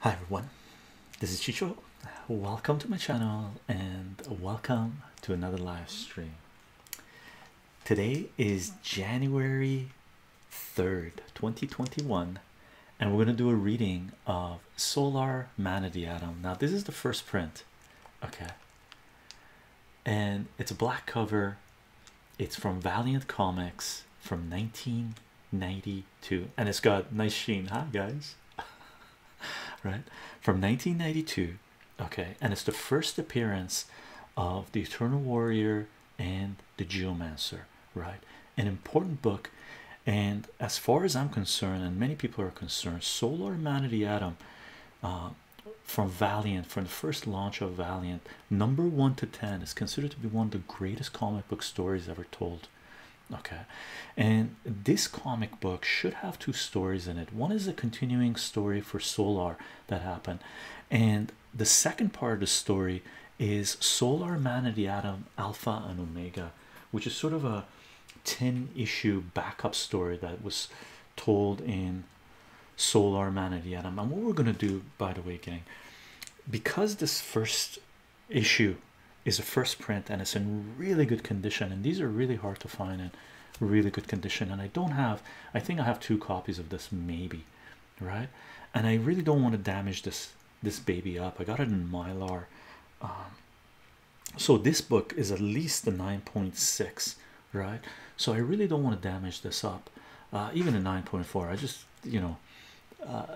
Hi everyone, this is Chicho. Welcome to my channel and welcome to another live stream. Today is January 3rd, 2021, and we're going to do a reading of Solar Manatee Atom. Now, this is the first print, okay, and it's a black cover, it's from Valiant Comics from 1992, and it's got nice sheen. Hi guys, right from 1992. Okay, and it's the first appearance of the Eternal Warrior and the Geomancer. Right, an important book, and as far as I'm concerned, and many people are concerned, Solar Humanity Atom. Uh, from Valiant, from the first launch of Valiant, number one to ten is considered to be one of the greatest comic book stories ever told. Okay, and this comic book should have two stories in it. One is a continuing story for Solar that happened, and the second part of the story is Solar Man of the Atom Alpha and Omega, which is sort of a 10 issue backup story that was told in Solar Man of the Atom. And what we're gonna do, by the way, gang, because this first issue is a first print and it's in really good condition and these are really hard to find in really good condition and i don't have i think i have two copies of this maybe right and i really don't want to damage this this baby up i got it in mylar um, so this book is at least the 9.6 right so i really don't want to damage this up uh, even a 9.4 i just you know uh,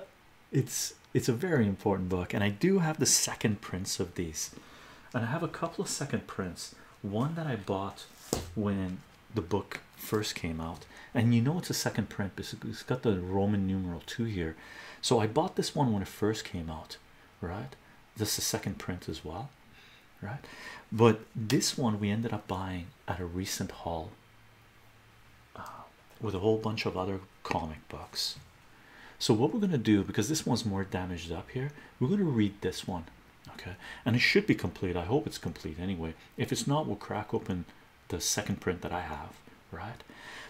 it's it's a very important book and i do have the second prints of these and i have a couple of second prints one that i bought when the book first came out and you know it's a second print because it's got the roman numeral 2 here so i bought this one when it first came out right this is a second print as well right but this one we ended up buying at a recent haul uh, with a whole bunch of other comic books. So, what we're going to do because this one's more damaged up here, we're going to read this one, okay? And it should be complete. I hope it's complete anyway. If it's not, we'll crack open the second print that I have, right?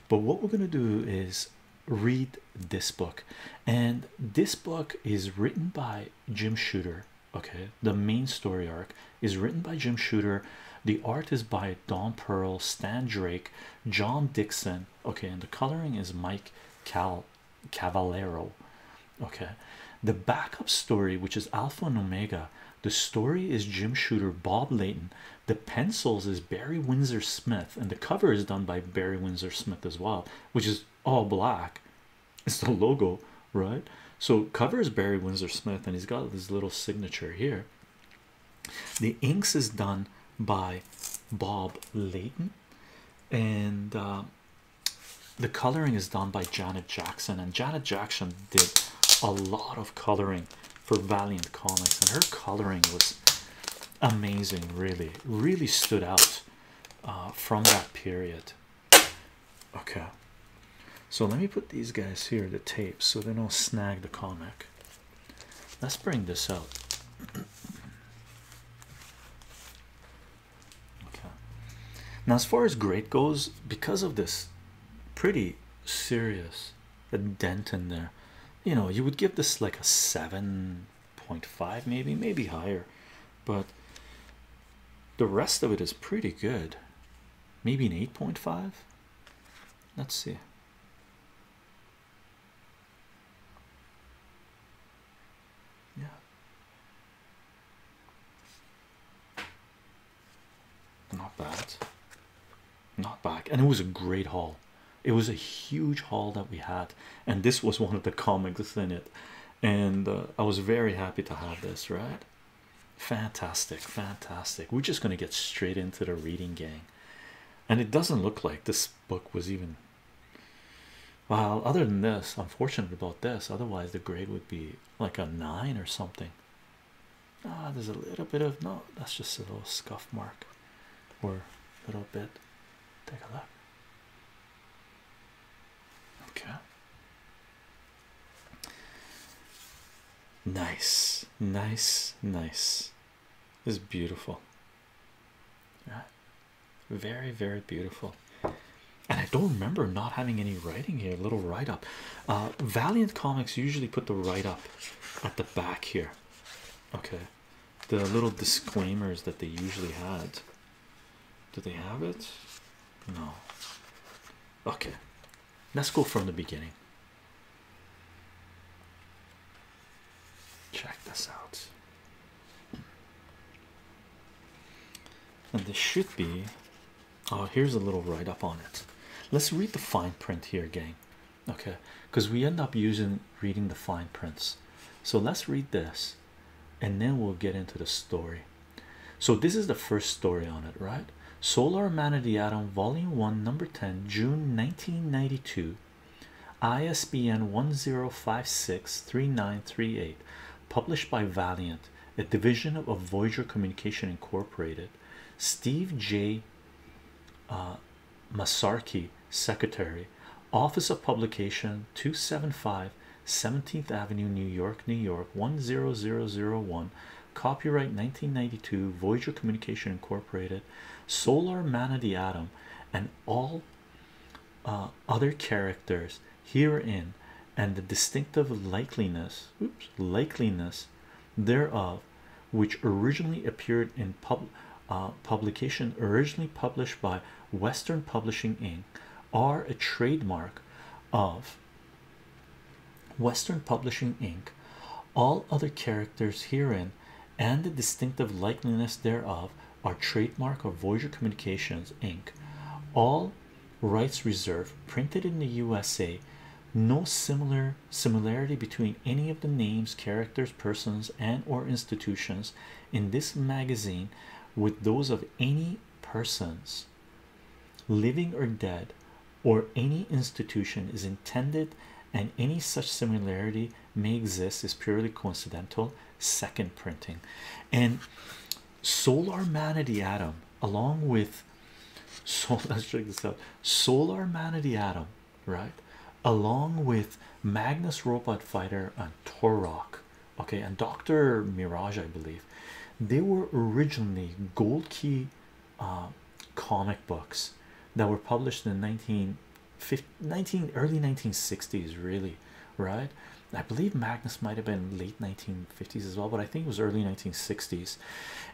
But what we're going to do is read this book, and this book is written by Jim Shooter, okay? The main story arc is written by Jim Shooter. The art is by Don Pearl, Stan Drake, John Dixon. Okay, and the coloring is Mike Cal Cavallero. Okay, the backup story, which is Alpha and Omega. The story is Jim Shooter, Bob Layton. The pencils is Barry Windsor Smith, and the cover is done by Barry Windsor Smith as well, which is all black. It's the logo, right? So cover is Barry Windsor Smith, and he's got this little signature here the inks is done by bob layton and uh, the coloring is done by janet jackson and janet jackson did a lot of coloring for valiant comics and her coloring was amazing really really stood out uh, from that period okay so let me put these guys here, the tapes, so they don't snag the comic. Let's bring this out. okay. Now, as far as grade goes, because of this pretty serious a dent in there, you know, you would give this like a seven point five, maybe, maybe higher, but the rest of it is pretty good. Maybe an eight point five. Let's see. Yeah. Not bad. Not bad. And it was a great haul. It was a huge haul that we had. And this was one of the comics in it. And uh, I was very happy to have this, right? Fantastic, fantastic. We're just going to get straight into the reading, gang. And it doesn't look like this book was even well, other than this, I'm fortunate about this, otherwise, the grade would be like a nine or something. Ah, there's a little bit of no, that's just a little scuff mark or little bit. Take a look. Okay. Nice, nice, nice. This is beautiful. Yeah. Very, very beautiful. And I don't remember not having any writing here. Little write up. Uh, Valiant Comics usually put the write up at the back here. Okay. The little disclaimers that they usually had. Do they have it? No. Okay. Let's go from the beginning. Check this out. And this should be oh, here's a little write up on it. Let's read the fine print here, gang. Okay, because we end up using reading the fine prints. So let's read this and then we'll get into the story. So, this is the first story on it, right? Solar Man of the Atom, Volume 1, Number 10, June 1992, ISBN 10563938, published by Valiant, a division of Voyager Communication Incorporated. Steve J. Uh, Secretary, Office of Publication 275 17th Avenue, New York, New York 10001. Copyright 1992 Voyager Communication Incorporated, Solar Man of the Atom, and all uh, other characters herein, and the distinctive likeliness, oops, likeliness thereof, which originally appeared in pub, uh, publication originally published by Western Publishing Inc., are a trademark of Western Publishing Inc. All other characters herein and the distinctive likeness thereof are trademark of Voyager Communications Inc. All rights reserved, printed in the USA. No similar similarity between any of the names, characters, persons, and/or institutions in this magazine with those of any persons living or dead or any institution is intended and any such similarity may exist is purely coincidental second printing and solar manity atom along with so let's check this out solar manity atom right along with magnus robot fighter and torok okay and dr mirage i believe they were originally gold key uh, comic books that were published in 19 early 1960s really right i believe magnus might have been late 1950s as well but i think it was early 1960s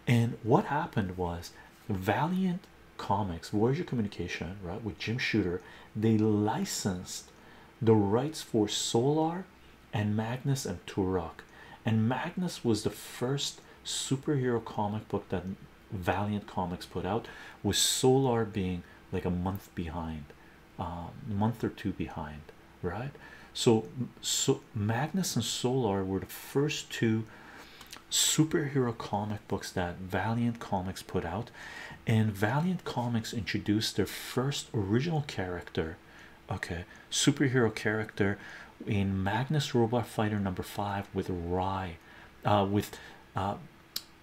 and what happened was valiant comics warrior communication right with jim shooter they licensed the rights for solar and magnus and turok and Magnus was the first superhero comic book that Valiant Comics put out, with Solar being like a month behind, um, month or two behind, right? So, so Magnus and Solar were the first two superhero comic books that Valiant Comics put out, and Valiant Comics introduced their first original character, okay, superhero character in Magnus Robot Fighter number five with Rye, uh, with uh,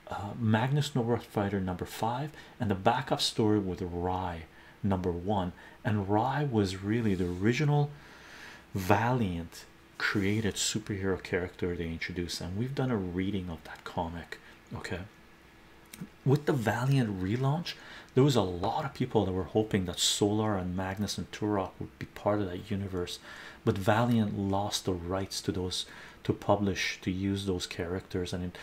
uh, Magnus Robot Fighter number five, and the backup story with Rye number one. And Rye was really the original Valiant created superhero character they introduced, and we've done a reading of that comic. Okay, with the Valiant relaunch, there was a lot of people that were hoping that Solar and Magnus and Turok be part of that universe but valiant lost the rights to those to publish to use those characters and it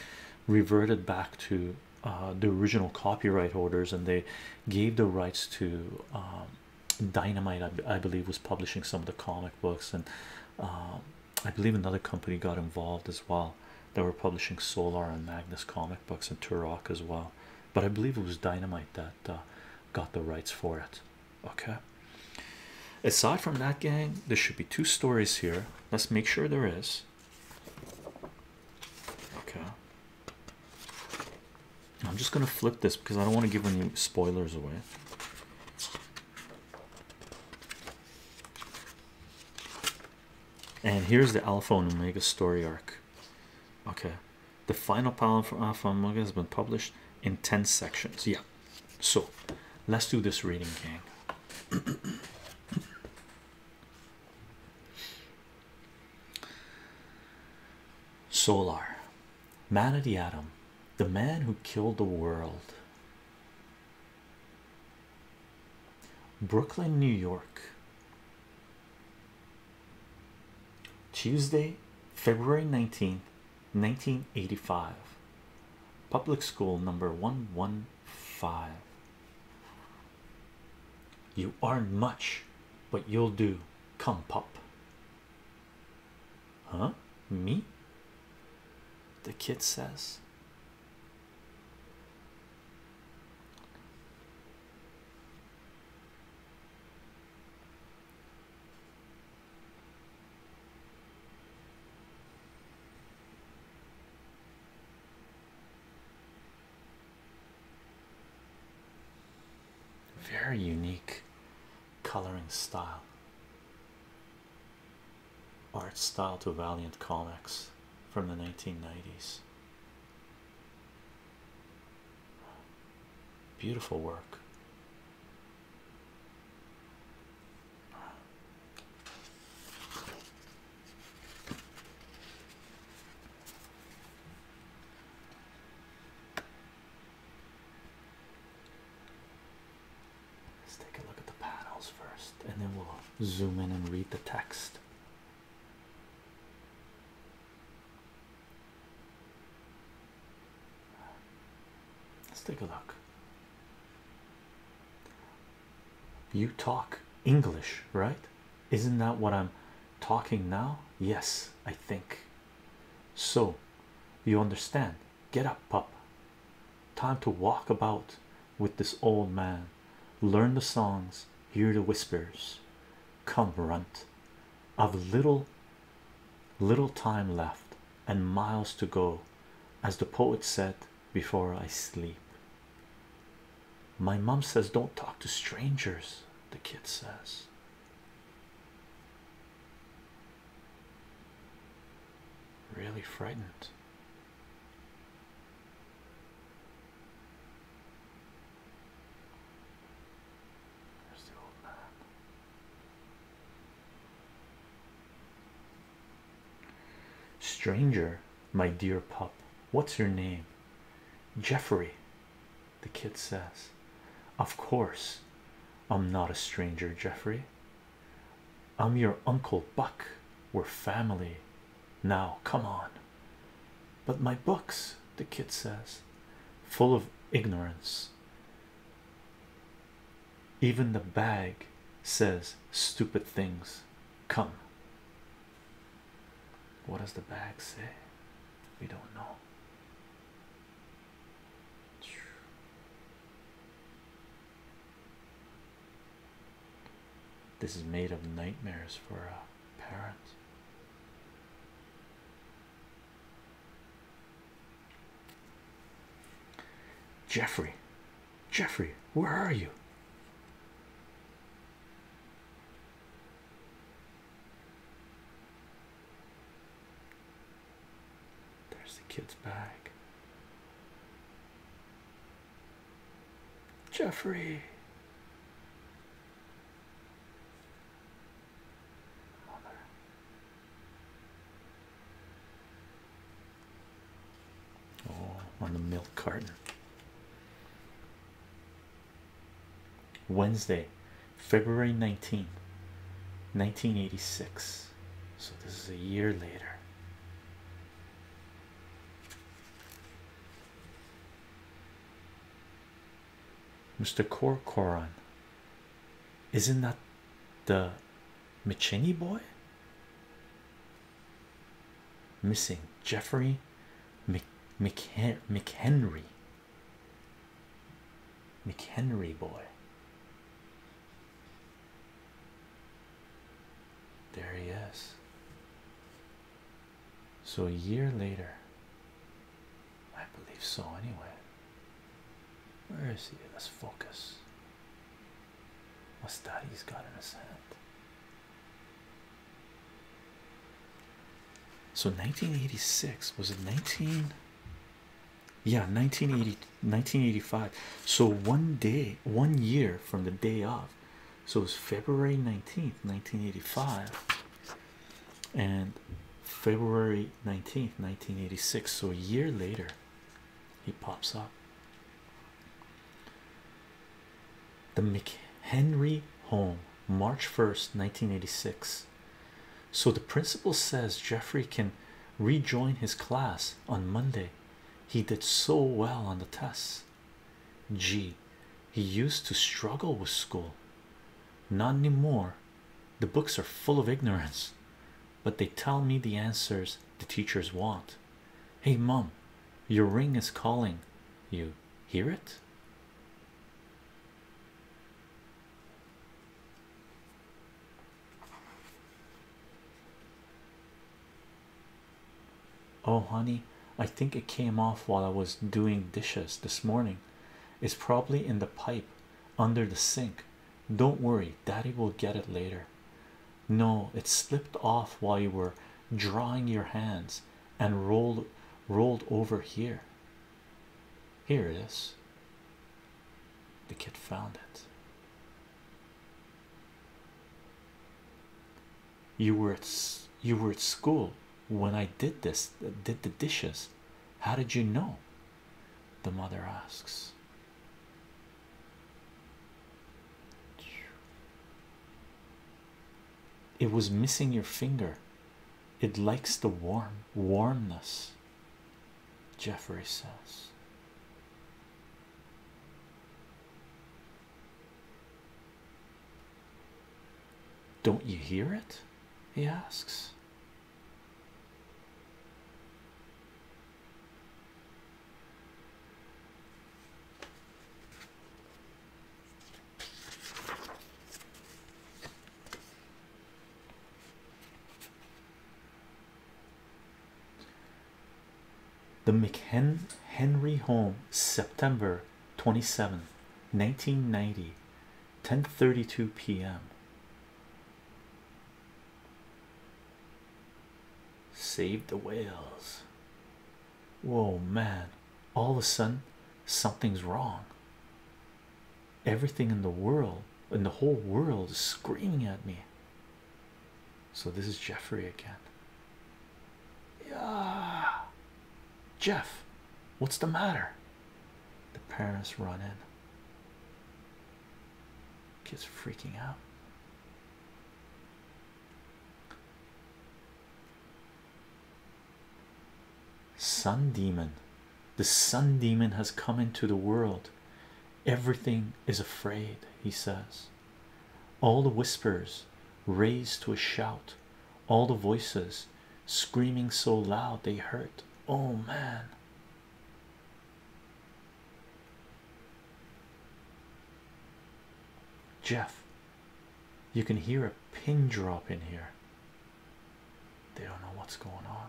reverted back to uh, the original copyright holders and they gave the rights to um, dynamite I, believe was publishing some of the comic books and um, i believe another company got involved as well they were publishing solar and magnus comic books and turok as well but I believe it was Dynamite that uh, got the rights for it. Okay, aside from that, gang, there should be two stories here. Let's make sure there is. Okay, I'm just gonna flip this because I don't want to give any spoilers away. And here's the Alpha and Omega story arc. Okay, the final panel for Alpha Manga has been published in 10 sections. Yeah, so let's do this reading, game. Solar Man of the Atom, the man who killed the world. Brooklyn, New York, Tuesday, February 19th, 1985. Public school number 115. You aren't much, but you'll do. Come, pop. Huh? Me? The kid says. Very unique coloring style, art style to Valiant Comics from the 1990s. Beautiful work. Let's take a look at the panels first, and then we'll zoom in and read the text. Let's take a look. You talk English, right? Isn't that what I'm talking now? Yes, I think so. You understand? Get up, pup. Time to walk about with this old man, learn the songs, hear the whispers. Come, runt, of little little time left and miles to go as the poet said before i sleep my mom says don't talk to strangers the kid says really frightened there's the old man. Stranger, my dear pup, what's your name? Jeffrey, the kid says. Of course, I'm not a stranger, Jeffrey. I'm your uncle Buck. We're family. Now, come on. But my books, the kid says, full of ignorance. Even the bag says stupid things. Come. What does the bag say? We don't know. This is made of nightmares for a parent. Jeffrey, Jeffrey, where are you? There's the kid's bag. Jeffrey. Oh, on the milk cart. Wednesday, February 19th, 1986. So this is a year later. Mr. Corcoran. Isn't that the McHenry boy? Missing Jeffrey McHenry. McHenry boy. There he is so a year later i believe so anyway where is he let's focus what's that he's got in his hand so 1986 was it 19 yeah 1980 1985 so one day one year from the day of so it was february 19th 1985 and February 19th 1986 so a year later he pops up the McHenry home March 1st 1986 so the principal says Jeffrey can rejoin his class on Monday he did so well on the tests G he used to struggle with school. Not any more. The books are full of ignorance, but they tell me the answers the teachers want. Hey, mom, your ring is calling. You hear it? Oh, honey, I think it came off while I was doing dishes this morning. It's probably in the pipe under the sink. Don't worry, daddy will get it later. No, it slipped off while you were drawing your hands and rolled rolled over here. Here it is. The kid found it. You were at you were at school when I did this, did the dishes. How did you know? The mother asks. It was missing your finger. It likes the warm warmness, Jeffrey says. Don't you hear it? He asks. The McHenry home September 27 1990 10:32 p.m. Save the whales. Whoa, man, all of a sudden something's wrong. Everything in the world, in the whole world, is screaming at me. So, this is Jeffrey again. Yeah, Jeff, what's the matter? The parents run in. Kids freaking out. Sun demon, the sun demon has come into the world. Everything is afraid, he says. All the whispers raised to a shout, all the voices screaming so loud they hurt. Oh man. Jeff, you can hear a pin drop in here. They don't know what's going on.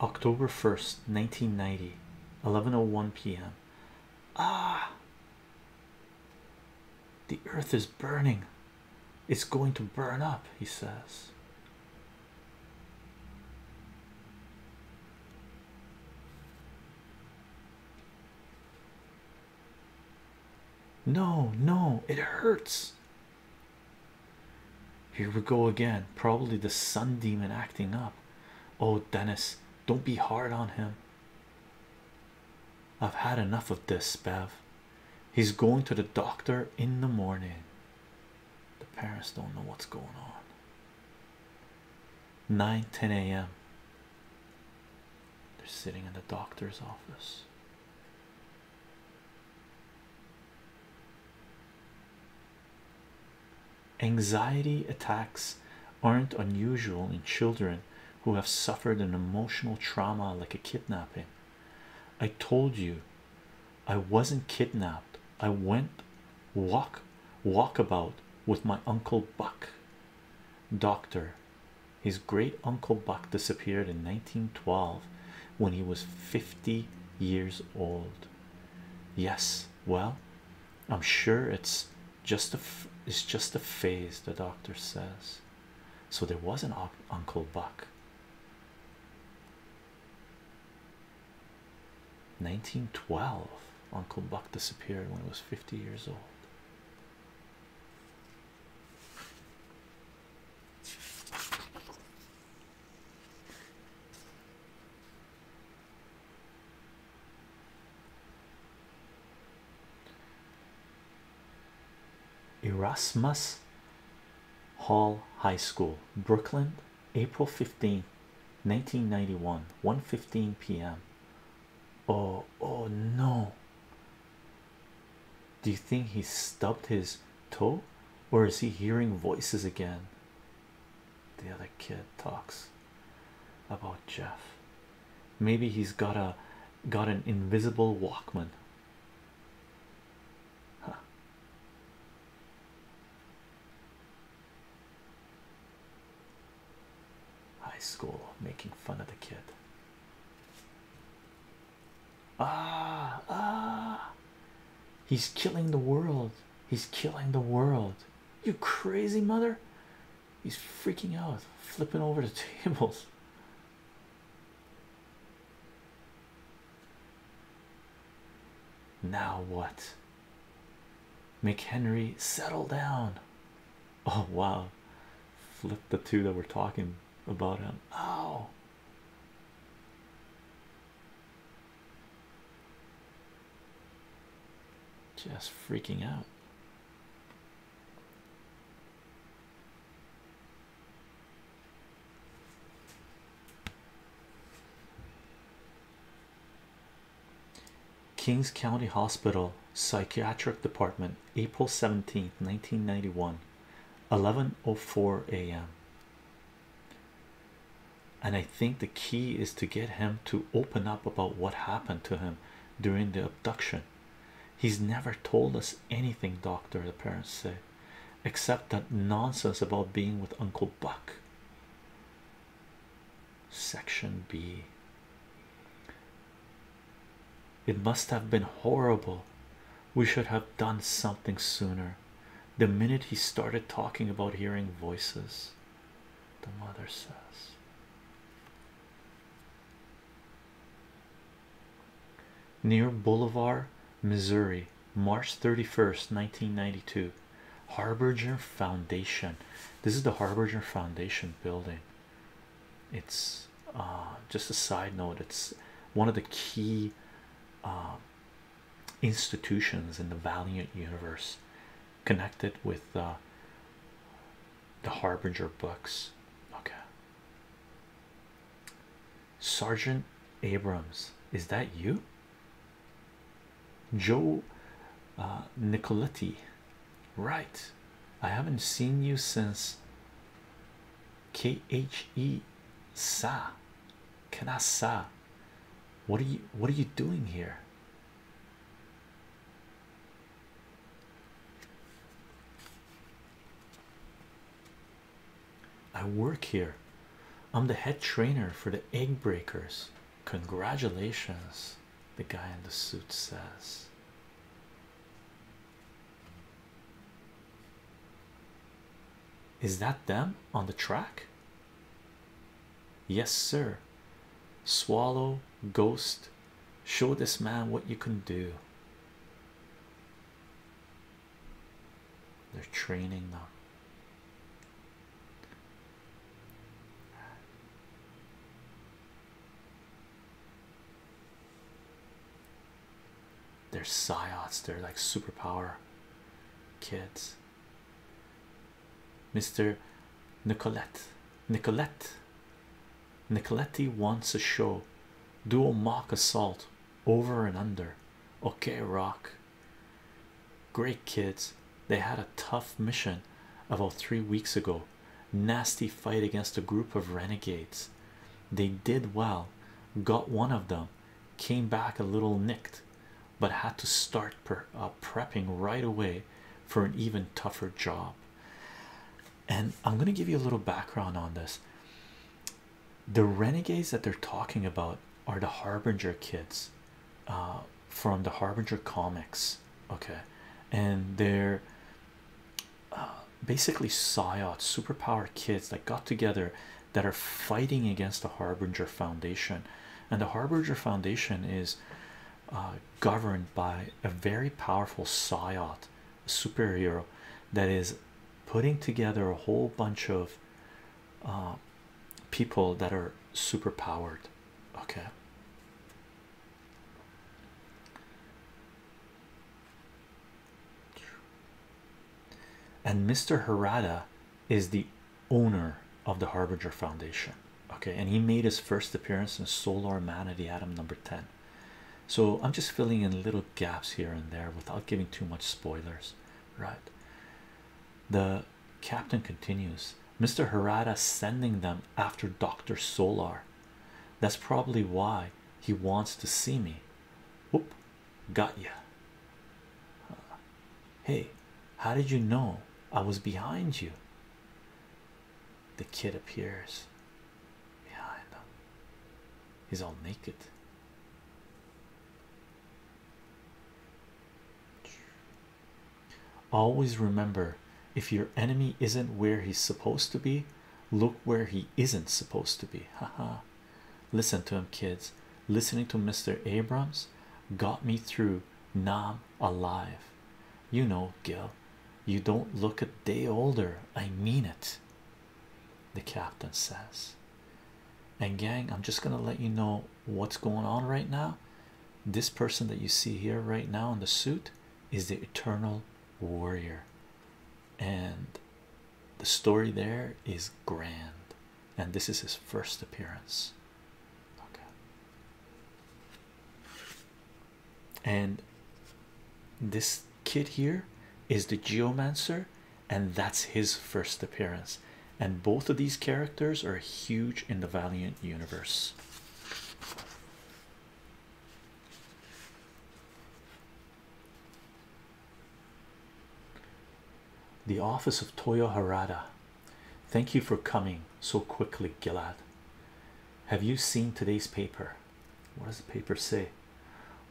October 1st, 1990, one p.m. Ah, the earth is burning, it's going to burn up, he says. No, no, it hurts. Here we go again. Probably the sun demon acting up. Oh, Dennis, don't be hard on him. I've had enough of this, Bev. He's going to the doctor in the morning. The parents don't know what's going on. 9 10 a.m. They're sitting in the doctor's office. Anxiety attacks aren't unusual in children who have suffered an emotional trauma like a kidnapping. I told you I wasn't kidnapped. I went walk walkabout with my uncle Buck. Doctor, his great uncle Buck disappeared in 1912 when he was 50 years old yes well i'm sure it's just a it's just a phase the doctor says so there was an uncle buck 1912 uncle buck disappeared when he was 50 years old Erasmus Hall High School, Brooklyn, April 15, 1991, 1:15 p.m. Oh, oh no. Do you think he stubbed his toe or is he hearing voices again? The other kid talks about Jeff. Maybe he's got a got an invisible Walkman. High school making fun of the kid. Ah, ah, he's killing the world. He's killing the world. You crazy mother. He's freaking out, flipping over the tables. Now what? McHenry, settle down. Oh wow. Flip the two that we're talking about him. Oh. Just freaking out. Kings County Hospital Psychiatric Department, April 17, 1991, 11:04 a.m and I think the key is to get him to open up about what happened to him during the abduction. He's never told us anything, doctor, the parents say, except that nonsense about being with Uncle Buck. Section B. It must have been horrible. We should have done something sooner the minute he started talking about hearing voices, the mother says. Near Boulevard, Missouri, March 31st, 1992. Harbinger Foundation. This is the Harbinger Foundation building. It's uh, just a side note, it's one of the key uh, institutions in the Valiant universe connected with uh, the Harbinger books. Okay. Sergeant Abrams, is that you? Joe uh, Nicoletti, right? I haven't seen you since KHE Sa Sa. What are you what are you doing here? I work here. I'm the head trainer for the egg breakers. Congratulations, the guy in the suit says. Is that them on the track? Yes, sir. Swallow, ghost, show this man what you can do. They're training them. They're psyots, they're like superpower kids. Mr. Nicolette. Nicolette. Nicoletti wants a show. Dual mock assault over and under. Okay, rock. Great kids. They had a tough mission about three weeks ago. Nasty fight against a group of renegades. They did well, got one of them, came back a little nicked, but had to start uh, prepping right away for an even tougher job. And I'm going to give you a little background on this. The renegades that they're talking about are the Harbinger kids uh, from the Harbinger comics, okay? And they're uh, basically psyops, superpower kids that got together that are fighting against the Harbinger Foundation, and the Harbinger Foundation is uh, governed by a very powerful psyot superhero that is putting together a whole bunch of uh, people that are super powered. Okay. And Mr. Harada is the owner of the Harbinger Foundation. Okay, and he made his first appearance in Solar Man of the Atom number 10. So I'm just filling in little gaps here and there without giving too much spoilers, right? The captain continues, Mr. Harada sending them after Dr. Solar. That's probably why he wants to see me. Whoop, got ya. Hey, how did you know I was behind you? The kid appears behind them. He's all naked. Always remember if your enemy isn't where he's supposed to be, look where he isn't supposed to be. Ha ha! Listen to him, kids. Listening to Mr. Abrams got me through Nam alive. You know, Gil, you don't look a day older. I mean it. The captain says, and gang, I'm just gonna let you know what's going on right now. This person that you see here right now in the suit is the eternal warrior, and the story there is grand and this is his first appearance. And this kid here is the geomancer, and that's his first appearance. And both of these characters are huge in the Valiant universe the office of Toyoharada. Thank you for coming so quickly, Gilad. Have you seen today's paper? What does the paper say?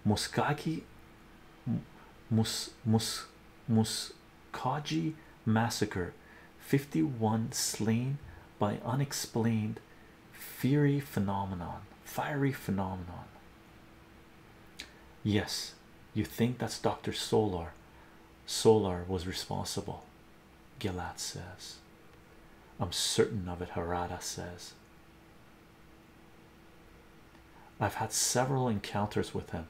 Muskaki Mus Mus Muskaji massacre 51 slain by unexplained fiery phenomenon fiery phenomenon yes you think that's dr solar Solar was responsible, Gillat says. I'm certain of it, Harada says. I've had several encounters with him.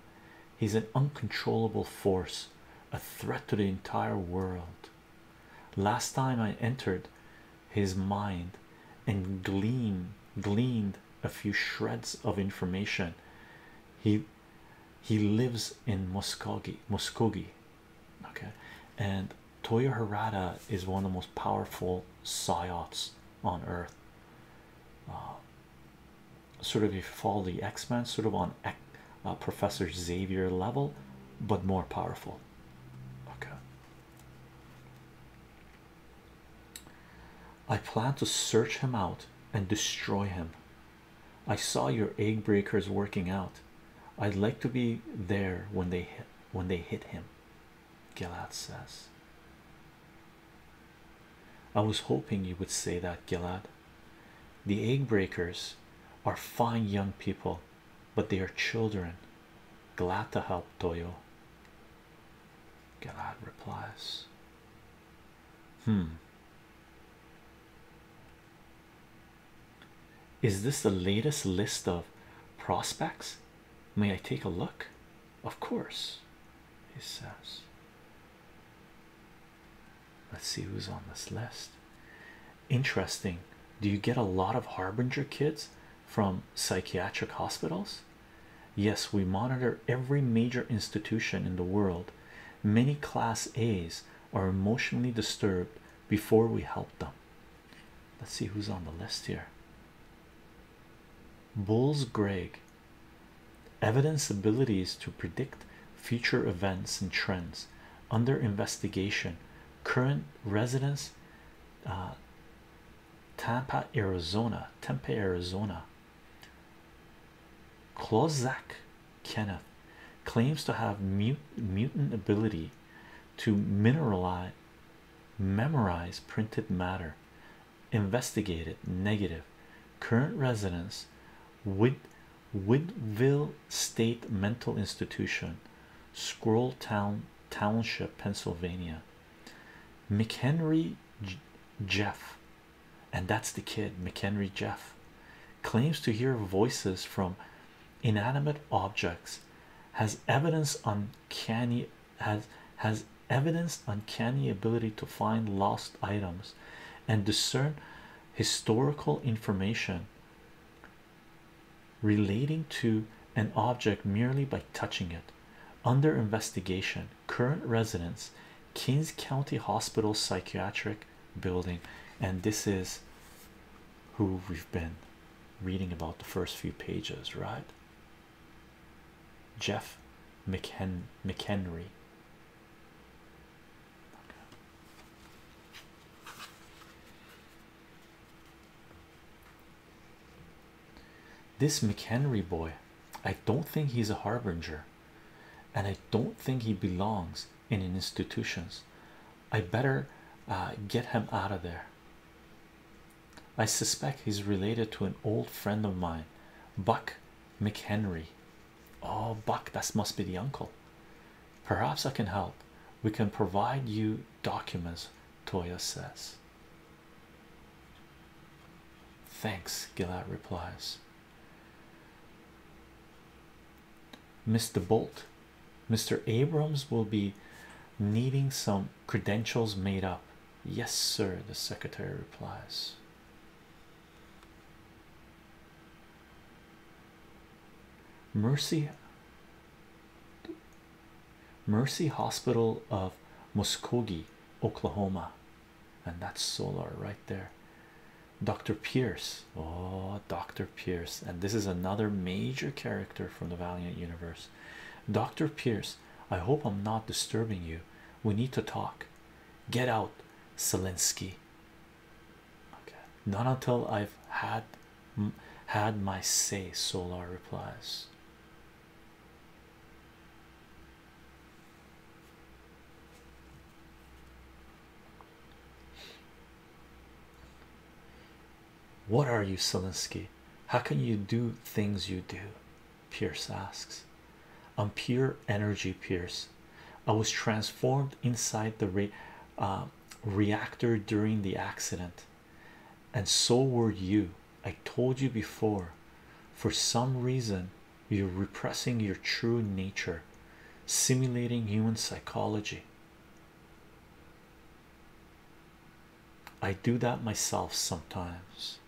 He's an uncontrollable force, a threat to the entire world. Last time I entered his mind and gleaned, gleaned a few shreds of information, he he lives in Muskogee, Muskogee, okay, and Toyo Harada is one of the most powerful psyops on earth. Uh, sort of, if you follow the X Men, sort of on uh, Professor Xavier level, but more powerful. Okay, I plan to search him out and destroy him. I saw your egg breakers working out. I'd like to be there when they hit when they hit him, Gilad says. I was hoping you would say that, Gilad. The egg breakers are fine young people, but they are children. Glad to help Toyo. Gilad replies. Hmm, is this the latest list of prospects? May I take a look? Of course, he says. Let's see who's on this list. Interesting. Do you get a lot of harbinger kids from psychiatric hospitals? Yes, we monitor every major institution in the world Many class A's are emotionally disturbed before we help them. Let's see who's on the list here. Bulls Greg evidence abilities to predict future events and trends under investigation. Current residence, uh, Tampa, Arizona, Tempe, Arizona. Klozak Kenneth claims to have mutant ability to mineralize memorize printed matter investigated negative current residence with Woodville State Mental Institution Scroll Township Pennsylvania McHenry Jeff and that's the kid McHenry Jeff claims to hear voices from inanimate objects has evidence uncanny has has evidence uncanny ability to find lost items and discern historical information relating to an object merely by touching it under investigation current residence, Kings County Hospital Psychiatric Building. And this is who we've been reading about the first few pages, right? Jeff McHen McHenry. This McHenry boy, I don't think he's a harbinger and I don't think he belongs in institutions. I better uh, get him out of there. I suspect he's related to an old friend of mine, Buck McHenry. Oh, Buck, that must be the uncle. Perhaps I can help. We can provide you documents, Toya says. Thanks, Gillette replies. Mr. Bolt, Mr. Abrams will be needing some credentials made up. Yes, sir, the secretary replies. Mercy Mercy Hospital of Muskogee, Oklahoma, and that's solar right there. Dr. Pierce, oh, Dr. Pierce, and this is another major character from the Valiant universe. Dr. Pierce, I hope I'm not disturbing you. We need to talk. Get out, Zelensky. not until I've had had my say, Solar replies. What are you, Selinsky? How can you do things you do? Pierce asks. I'm pure energy, Pierce. I was transformed inside the re uh, reactor during the accident, and so were you. I told you before. For some reason, you're repressing your true nature simulating human psychology i do that myself sometimes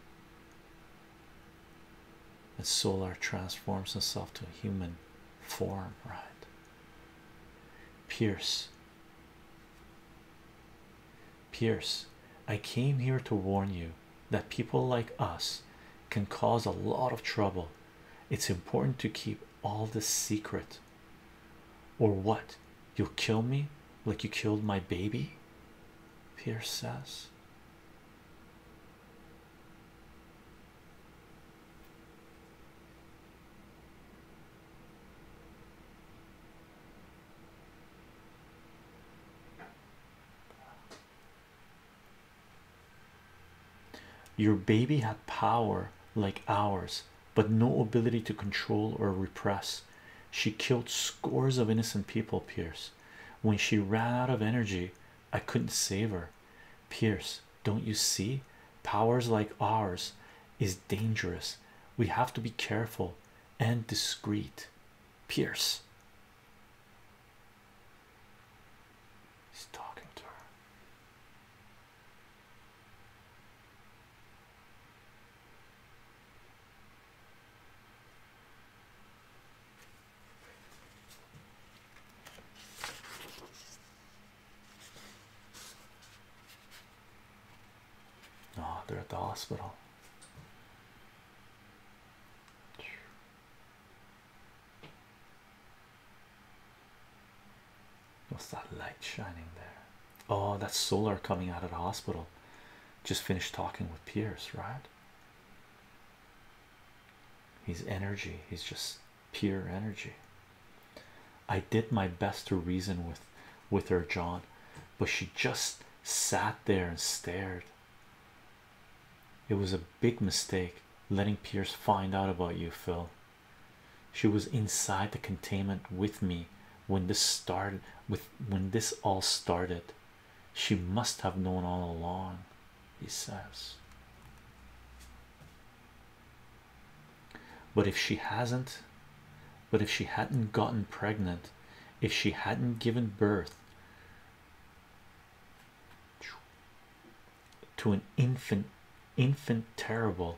and solar transforms himself to a human form right pierce pierce i came here to warn you that people like us can cause a lot of trouble. It's important to keep all this secret, or what you'll kill me like you killed my baby. Pierce says. Your baby had power like ours, but no ability to control or repress. She killed scores of innocent people, Pierce. When she ran out of energy, I couldn't save her. Pierce, don't you see? Powers like ours is dangerous. We have to be careful and discreet. Pierce. He's talking to her. Oh, they're at the hospital. What's that light shining there? Oh, that's solar coming out of the hospital. Just finished talking with Pierce, right? He's energy, he's just pure energy. I did my best to reason with with her, John, but she just sat there and stared. It was a big mistake letting Pierce find out about you, Phil. She was inside the containment with me when this started with when this all started. She must have known all along, he says. But if she hasn't, but if she hadn't gotten pregnant, if she hadn't given birth, to an infant infant terrible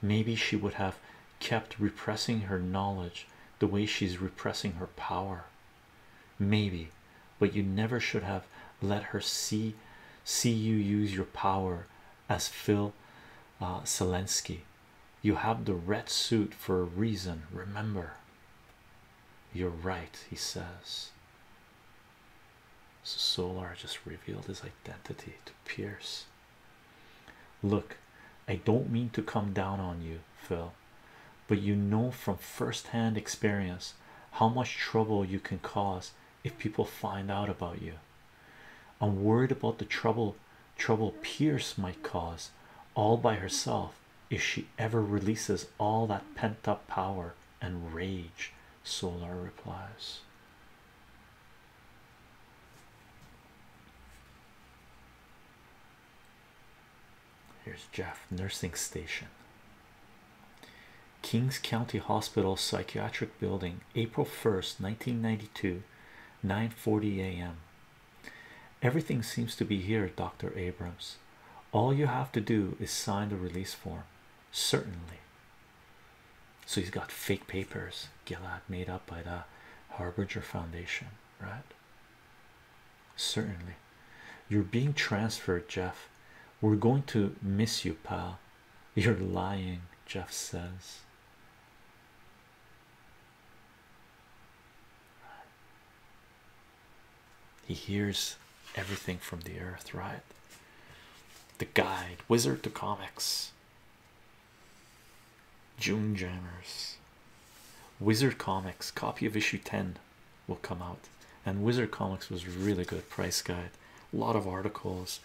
maybe she would have kept repressing her knowledge the way she's repressing her power maybe but you never should have let her see see you use your power as phil uh, Zelensky you have the red suit for a reason remember you're right, he says. Solar just revealed his identity to Pierce. Look, I don't mean to come down on you, Phil, but you know from first hand experience how much trouble you can cause if people find out about you. I'm worried about the trouble trouble Pierce might cause all by herself if she ever releases all that pent up power and rage, Solar replies. Here's Jeff, nursing station. Kings County Hospital Psychiatric Building, April 1st, 1992, 9:40 a.m. Everything seems to be here, Dr. Abrams all you have to do is sign the release form certainly so he's got fake papers Gilad made up by the Harbinger Foundation right certainly you're being transferred Jeff we're going to miss you pal you're lying Jeff says he hears everything from the earth, right? The guide, Wizard to Comics, June Jammers, Wizard Comics, copy of issue 10 will come out. And Wizard Comics was really good price guide, a lot of articles,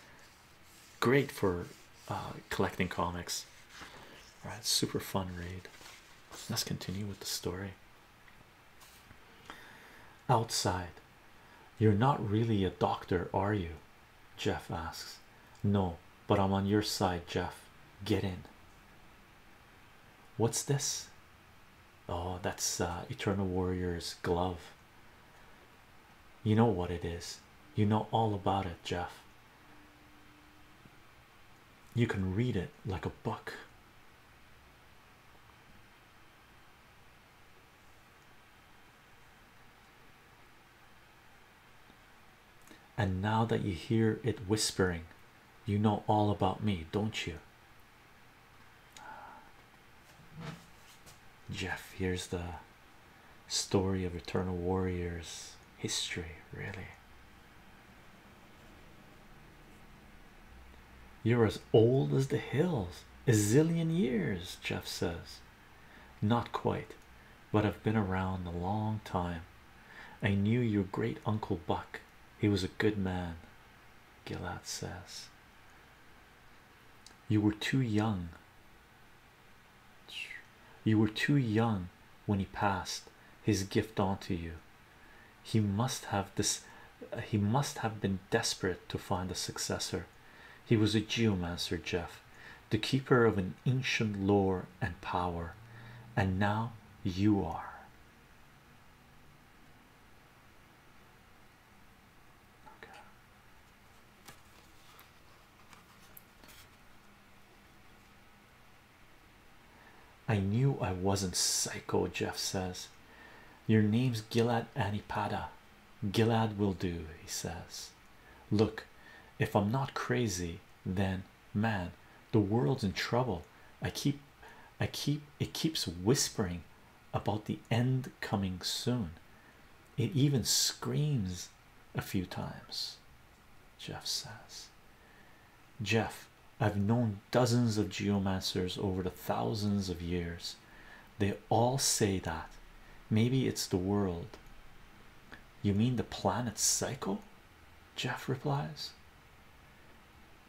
great for uh, collecting comics. All right, super fun read. Let's continue with the story. Outside, you're not really a doctor, are you? Jeff asks. No, but I'm on your side, Jeff. Get in. What's this? Oh, that's uh, Eternal Warrior's glove. You know what it is, you know all about it, Jeff. You can read it like a book. And now that you hear it whispering, you know all about me, don't you? Jeff, here's the story of Eternal Warriors history, really. You're as old as the hills, a zillion years, Jeff says. Not quite, but I've been around a long time. I knew your great uncle Buck, he was a good man, Gilad says. You were too young. You were too young when he passed his gift on to you he must have this uh, he must have been desperate to find a successor he was a Jew," geomancer jeff the keeper of an ancient lore and power and now you are I knew I wasn't psycho, Jeff says. Your name's Gilad Anipada. Gilad will do, he says. Look, if I'm not crazy, then man, the world's in trouble. I keep I keep it keeps whispering about the end coming soon. It even screams a few times, Jeff says. Jeff, I've known dozens of geomancers over the thousands of years. They all say that. Maybe it's the world. You mean the planet's cycle? Jeff replies.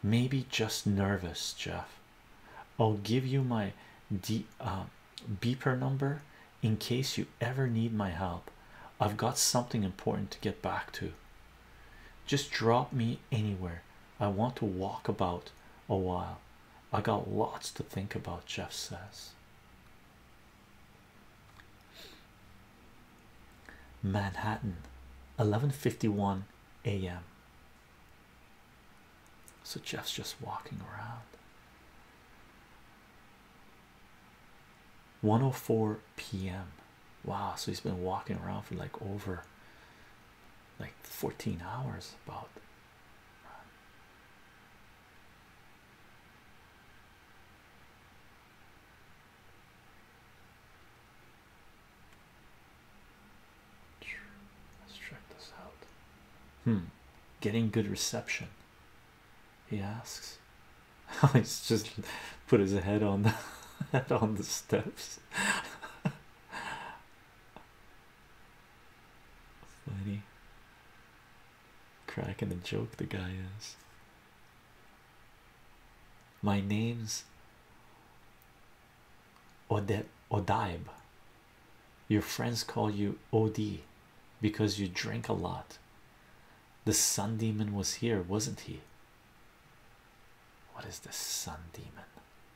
Maybe just nervous, Jeff. I'll give you my D, uh, beeper number in case you ever need my help. I've got something important to get back to. Just drop me anywhere. I want to walk about a while. I got lots to think about, Jeff says. Manhattan, 11:51 a.m. So Jeff's just walking around. 104 p.m. Wow, so he's been walking around for like over like 14 hours about let's check this out hmm getting good reception he asks he's just put his head on the head on the steps Funny. Cracking the joke, the guy is. My name's Ode Odibe. Your friends call you OD because you drink a lot. The sun demon was here, wasn't he? What is the sun demon?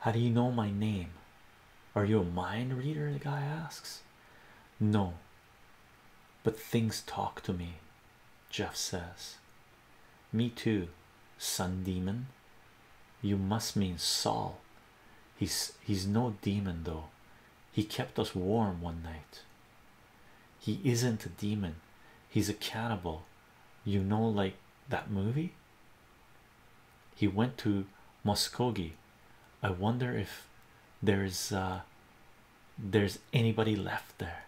How do you know my name? Are you a mind reader? The guy asks. No, but things talk to me, Jeff says. Me too, Sun Demon. You must mean Saul. He's he's no demon though. He kept us warm one night. He isn't a demon. He's a cannibal. You know, like that movie? He went to Muskogee. I wonder if there's uh, there's anybody left there.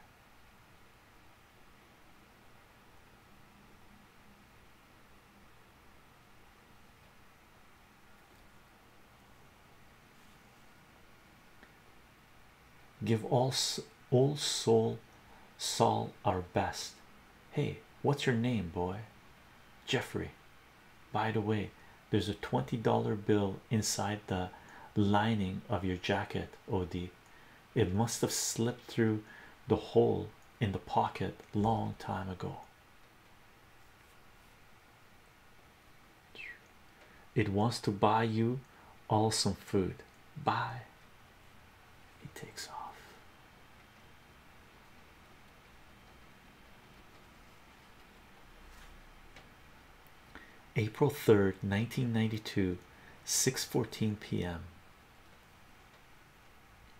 Give all, all soul, soul our best. Hey, what's your name, boy? Jeffrey. By the way, there's a $20 bill inside the lining of your jacket, OD. It must have slipped through the hole in the pocket long time ago. It wants to buy you all some food. Bye. He takes off. April 3rd 1992 6:14 p.m.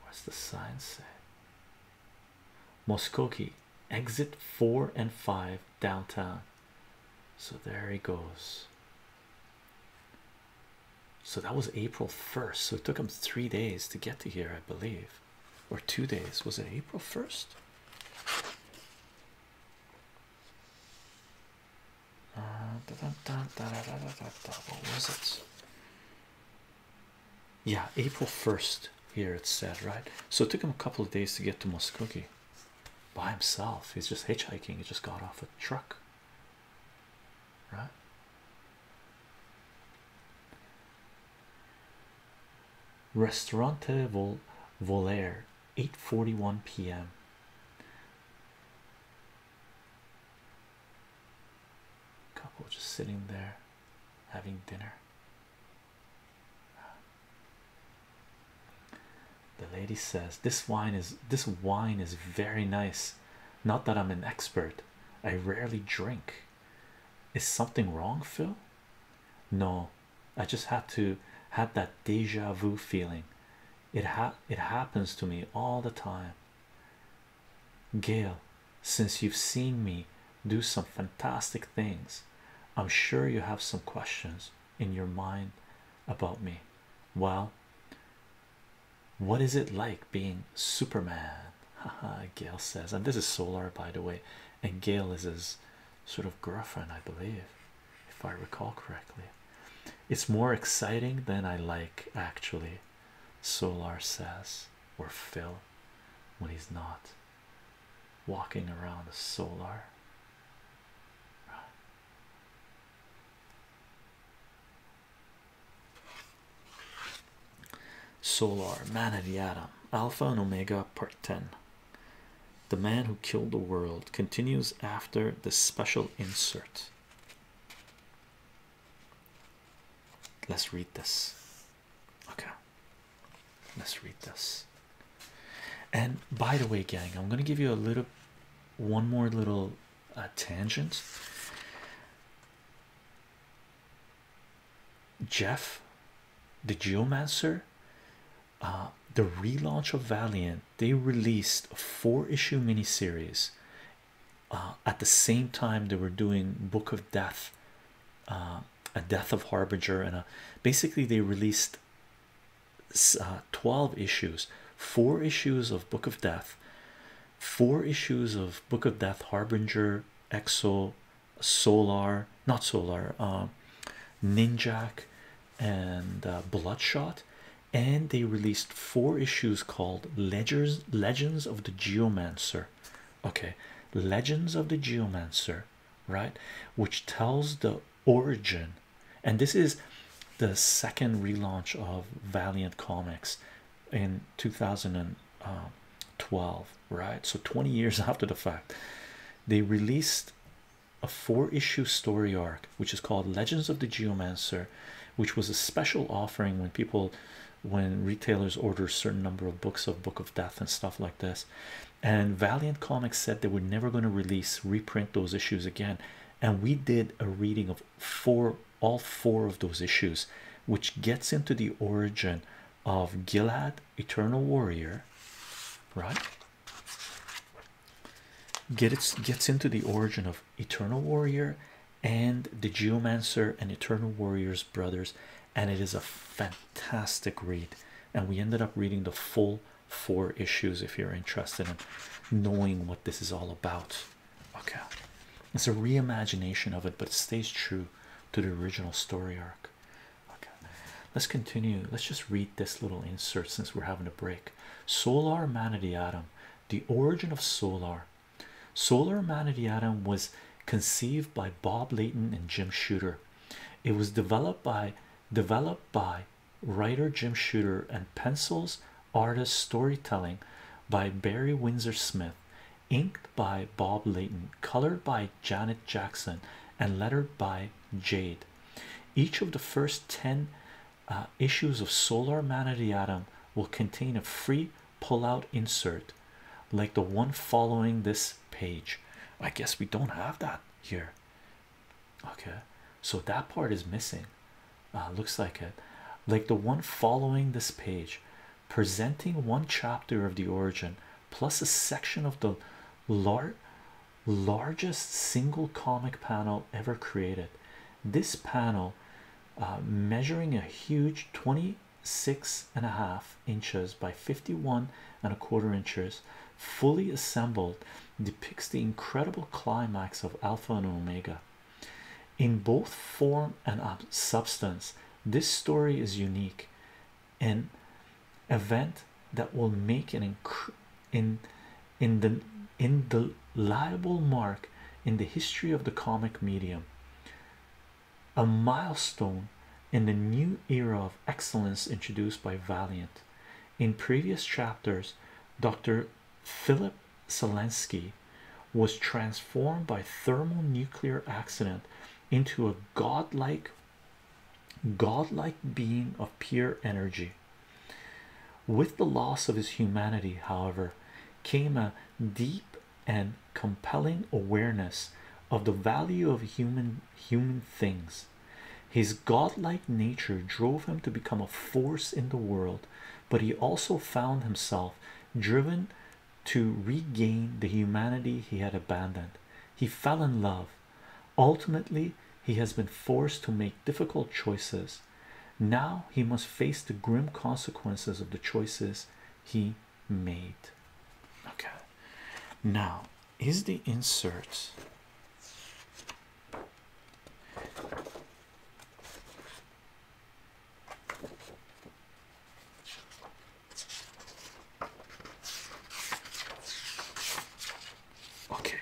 What's the sign say? Muskoki exit 4 and 5 downtown. So there he goes. So that was April 1st. So it took him three days to get to here, I believe or two days. Was it April 1st? Uh, what was it? Yeah, April 1st here it said, right? So it took him a couple of days to get to Muskogee by himself. He's just hitchhiking, he just got off a truck. Restaurant Restaurante Vol Volaire, 8:41 p.m. Couple just sitting there having dinner. The lady says, This wine is this wine is very nice. Not that I'm an expert, I rarely drink. Is something wrong, Phil? No, I just had to have that deja vu feeling. It ha it happens to me all the time. Gail, since you've seen me do some fantastic things, I'm sure you have some questions in your mind about me. Well, what is it like being Superman? Gail says, and this is Solar, by the way, and Gail is his sort of girlfriend, I believe, if I recall correctly. It's more exciting than I like, actually. Solar says, or Phil, when he's not walking around Solar. Solar Man of the Atom, Alpha and Omega, Part 10. The man who killed the world continues after the special insert. Let's read this. Okay, let's read this. And by the way, gang, I'm gonna give you a little one more little uh, tangent. Jeff, the Geomancer, uh, the relaunch of Valiant. They released a four-issue miniseries uh, at the same time they were doing Book of Death, uh, a Death of Harbinger, and basically they released uh, twelve issues, four issues of Book of Death, four issues of Book of Death, Harbinger, Exo, Solar, not Solar, uh, Ninjak, and uh, Bloodshot, and they released four issues called Ledgers Legends of the Geomancer. Okay, Legends of the Geomancer, right? Which tells the origin, and this is the second relaunch of Valiant Comics in 2000 um, twelve, right? So 20 years after the fact, they released a four-issue story arc, which is called Legends of the Geomancer, which was a special offering when people, when retailers order a certain number of books of Book of Death and stuff like this. And Valiant Comics said they were never going to release reprint those issues again, and we did a reading of four all four of those issues, which gets into the origin of Gilad, Eternal Warrior, right? Gets gets into the origin of Eternal Warrior and the Geomancer and Eternal Warrior's brothers, and it is a fantastic read. And we ended up reading the full four issues if you're interested in knowing what this is all about. Okay, it's a reimagination of it, but it stays true to the original story arc okay let's continue let's just read this little insert since we're having a break solar Man of the atom the origin of solar solar Man of the atom was conceived by bob layton and jim shooter it was developed by developed by writer jim shooter and pencils artist storytelling by barry windsor smith inked by Bob Layton, colored by Janet Jackson, and lettered by Jade. Each of the first 10 uh, issues of Solar Man of the Atom will contain a free pull-out insert like the one following this page. I guess we don't have that here. Okay, so that part is missing. Uh, looks like it, like the one following this page presenting one chapter of the origin plus a section of the largest single comic panel ever created. This panel, uh, measuring a huge 26 and a half inches by 51 and a quarter inches, fully assembled, depicts the incredible climax of Alpha and Omega. In both form and substance, this story is unique, an event that will make an in in the indelible mark in the history of the comic medium. A milestone in the new era of excellence introduced by Valiant. In previous chapters, Dr. Philip Zelensky was transformed by thermal nuclear accident into a godlike godlike being of pure energy with the loss of his humanity however came a deep and compelling awareness of the value of human human things his godlike nature drove him to become a force in the world but he also found himself driven to regain the humanity he had abandoned. He fell in love. Ultimately, he has been forced to make difficult choices. Now he must face the grim consequences of the choices he made. Okay, now is the insert Okay,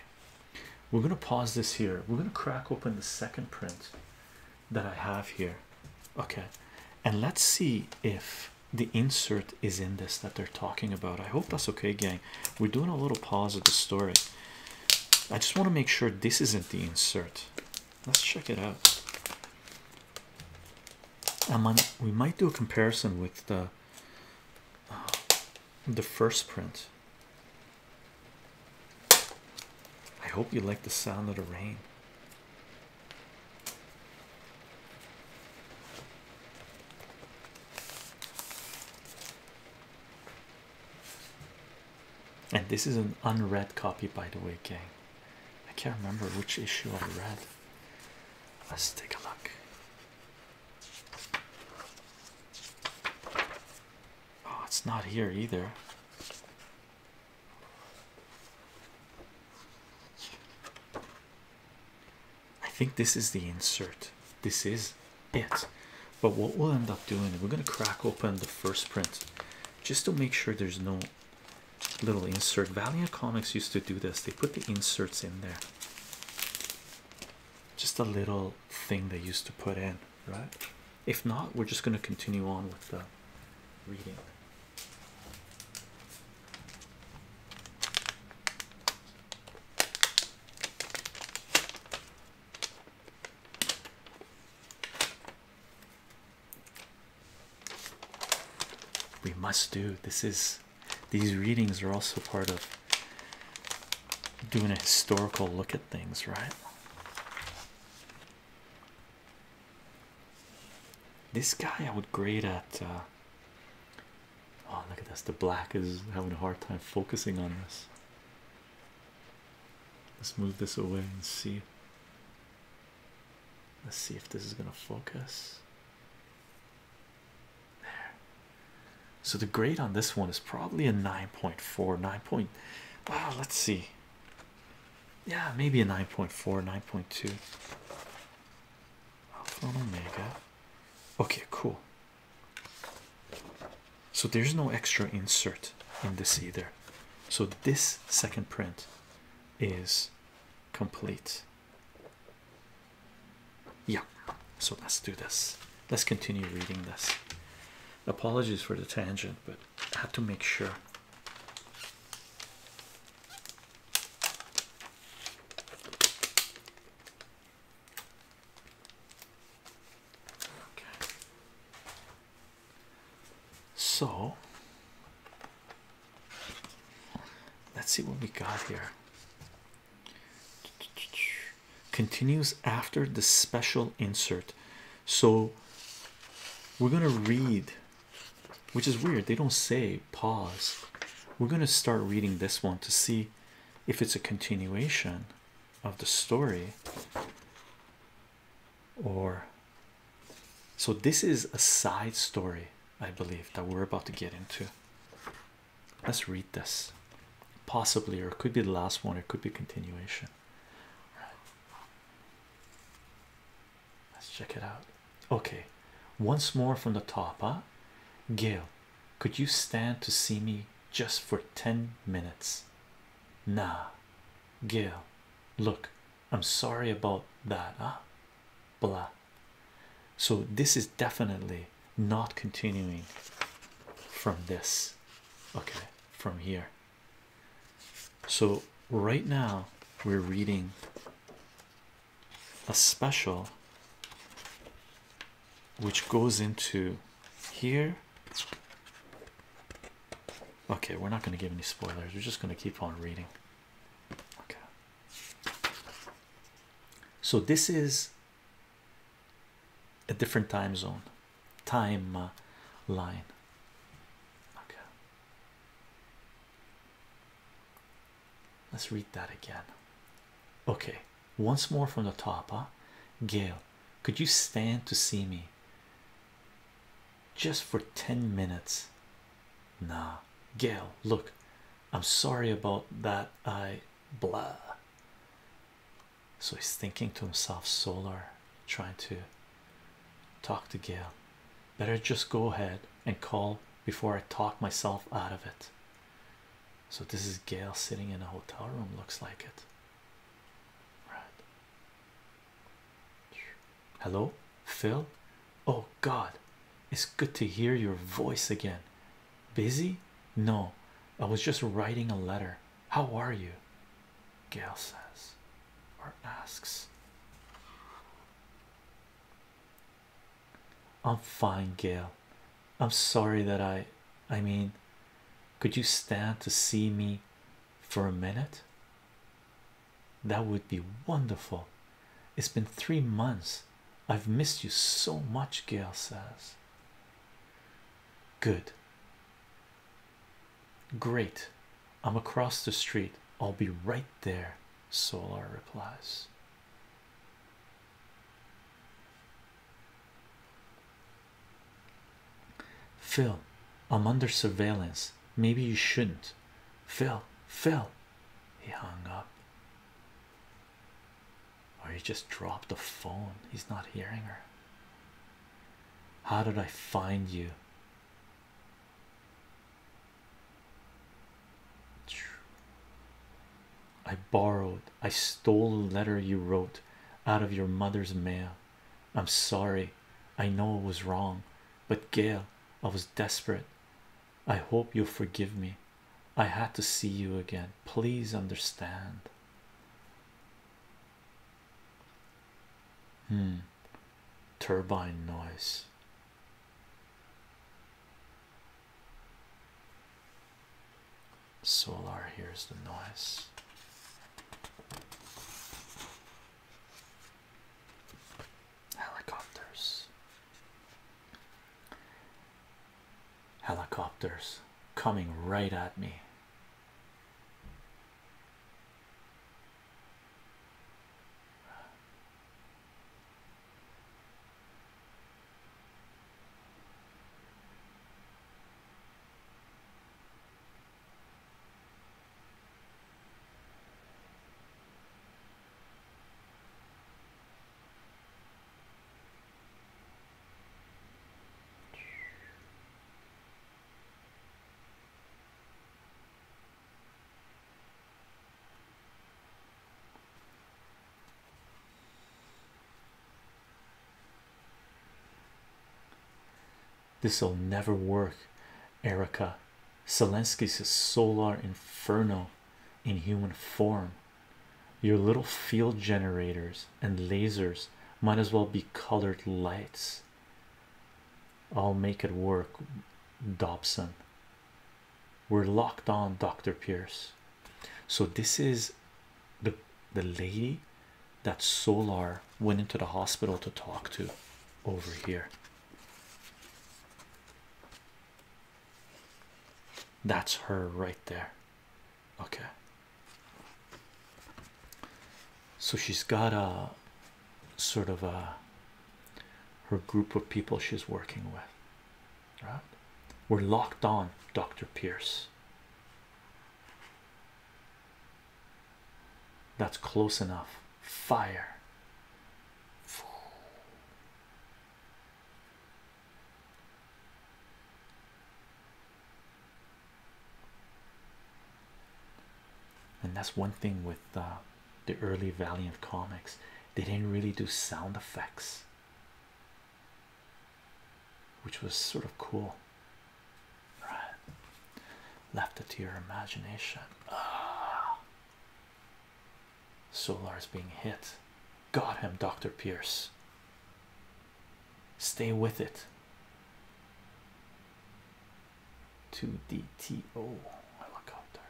we're gonna pause this here. We're gonna crack open the second print that I have here. Okay, and let's see if the insert is in this that they're talking about. I hope that's okay, gang. We're doing a little pause of the story. I just want to make sure this isn't the insert. Let's check it out. Um, we might do a comparison with the uh, the first print. I hope you like the sound of the rain. And this is an unread copy, by the way, gang. I can't remember which issue I read. Let's take a look. Oh, it's not here either. I think this is the insert. This is it. But what we'll end up doing, we're going to crack open the first print just to make sure there's no little insert. Valiant Comics used to do this, they put the inserts in there. Just a little thing they used to put in, right? If not, we're just going to continue on with the reading. We must do this is these readings are also part of doing a historical look at things, right? This guy I would grade at uh, oh look at this the black is having a hard time focusing on this. Let's move this away and see. Let's see if this is going to focus. There. So the grade on this one is probably a 9.4, 9. Point, wow, let's see. Yeah, maybe a 9.4, 9.2. Alpha Omega. Okay, cool. So there's no extra insert in this either. So this second print is complete. Yeah, so let's do this. Let's continue reading this. Apologies for the tangent, but I had to make sure. Okay. So Let's see what we got here. Continues after the special insert. So we're going to read, which is weird. They don't say pause. We're going to start reading this one to see if it's a continuation of the story or so, this is a side story, I believe, that we're about to get into. Let's read this. Possibly, or it could be the last one, it could be continuation. right. Let's check it out. Okay, once more from the top, ah. Gail, could you stand to see me just for 10 minutes? Nah, Gail, look, I'm sorry about that. Ah, blah. So, this is definitely not continuing from this, okay, from here. So, right now, we're reading a special which goes into here. Okay, we're not going to give any spoilers, we're just going to keep on reading. So this is a different time zone, time line. Okay. Let's read that again. Okay, once more from the top, huh? Gail, could you stand to see me? just for 10 minutes. Nah, Gail, look, I'm sorry about that. I blah. So he's thinking to himself, Solar, trying to talk to Gail. Better just go ahead and call before I talk myself out of it. So this is Gail sitting in a hotel room, looks like it. Right. Hello, Phil. Oh, God, it's good to hear your voice again. Busy? No, I was just writing a letter. How are you? Gail says or asks. I'm fine, Gail. I'm sorry that I. I mean, could you stand to see me for a minute? That would be wonderful. It's been three months. I've missed you so much, Gail says. Good. Great. I'm across the street. I'll be right there, Solar replies. Phil, I'm under surveillance. Maybe you shouldn't. Phil, Phil, he hung up. Or he just dropped the phone. He's not hearing her. How did I find you? I borrowed, I stole a letter you wrote out of your mother's mail. I'm sorry, I know it was wrong, but Gail, I was desperate. I hope you'll forgive me. I had to see you again. Please understand. Hmm. Turbine noise. Solar, hears the noise. Helicopters. Helicopters coming right at me. This'll never work, Erica. Zelensky's solar inferno in human form. Your little field generators and lasers might as well be colored lights. I'll make it work, Dobson. We're locked on, Dr. Pierce. So this is the the lady that Solar went into the hospital to talk to over here. That's her right there. Okay. So she's got a sort of a her group of people she's working with. Right? We're locked on, Dr. Pierce. That's close enough fire and that's one thing with uh, the early valiant comics they didn't really do sound effects which was sort of cool right left it to your imagination ah. Solar's being hit. Got him, Dr. Pierce. Stay with it. 2DTO helicopter.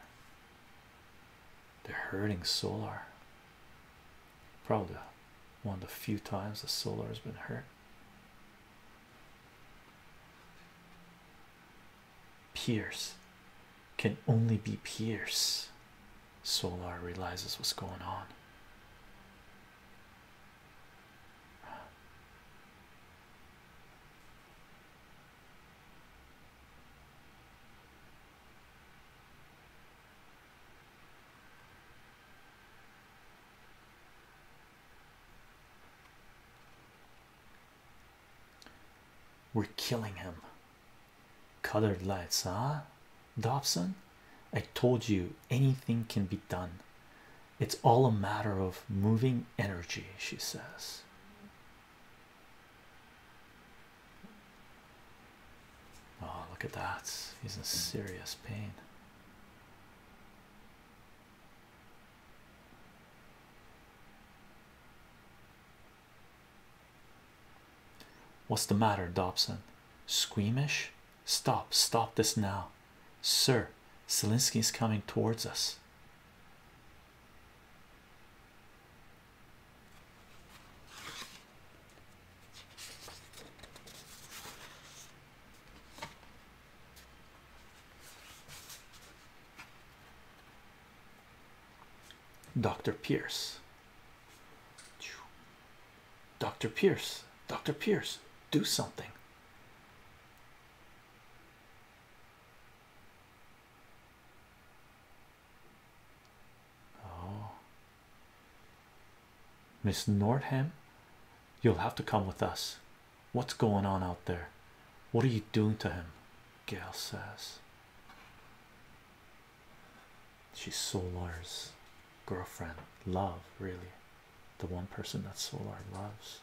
They're hurting Solar. Probably one of the few times the Solar has been hurt. Pierce can only be Pierce. Solar realizes what's going on. We're killing him. Colored lights, huh? Dobson, I told you anything can be done. It's all a matter of moving energy, she says. Oh, look at that. He's in serious pain. What's the matter, Dobson? Squeamish? Stop, stop this now, sir. Selinsky's coming towards us. Dr. Pierce. Dr. Pierce, Dr. Pierce, do something. Oh, Miss Northam, you'll have to come with us. What's going on out there? What are you doing to him? Gail says. She's Solar's girlfriend, love, really. The one person that Solar loves.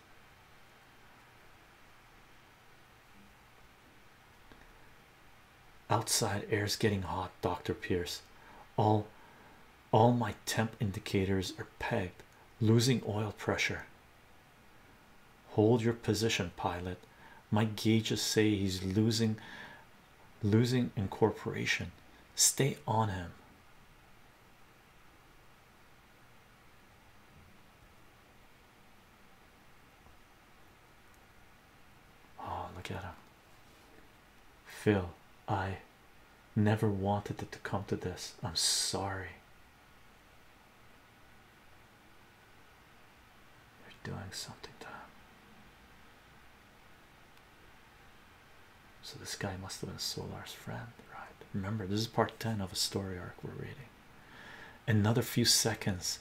Outside air's getting hot, Dr. Pierce. All all my temp indicators are pegged, losing oil pressure. Hold your position, pilot. My gauges say he's losing losing incorporation. Stay on him. Oh, look at him. Phil, I never wanted it to come to this. I'm sorry. They're doing something to him. So this guy must have been Solar's friend, right? Remember, this is part 10 of a story arc we're reading. Another few seconds.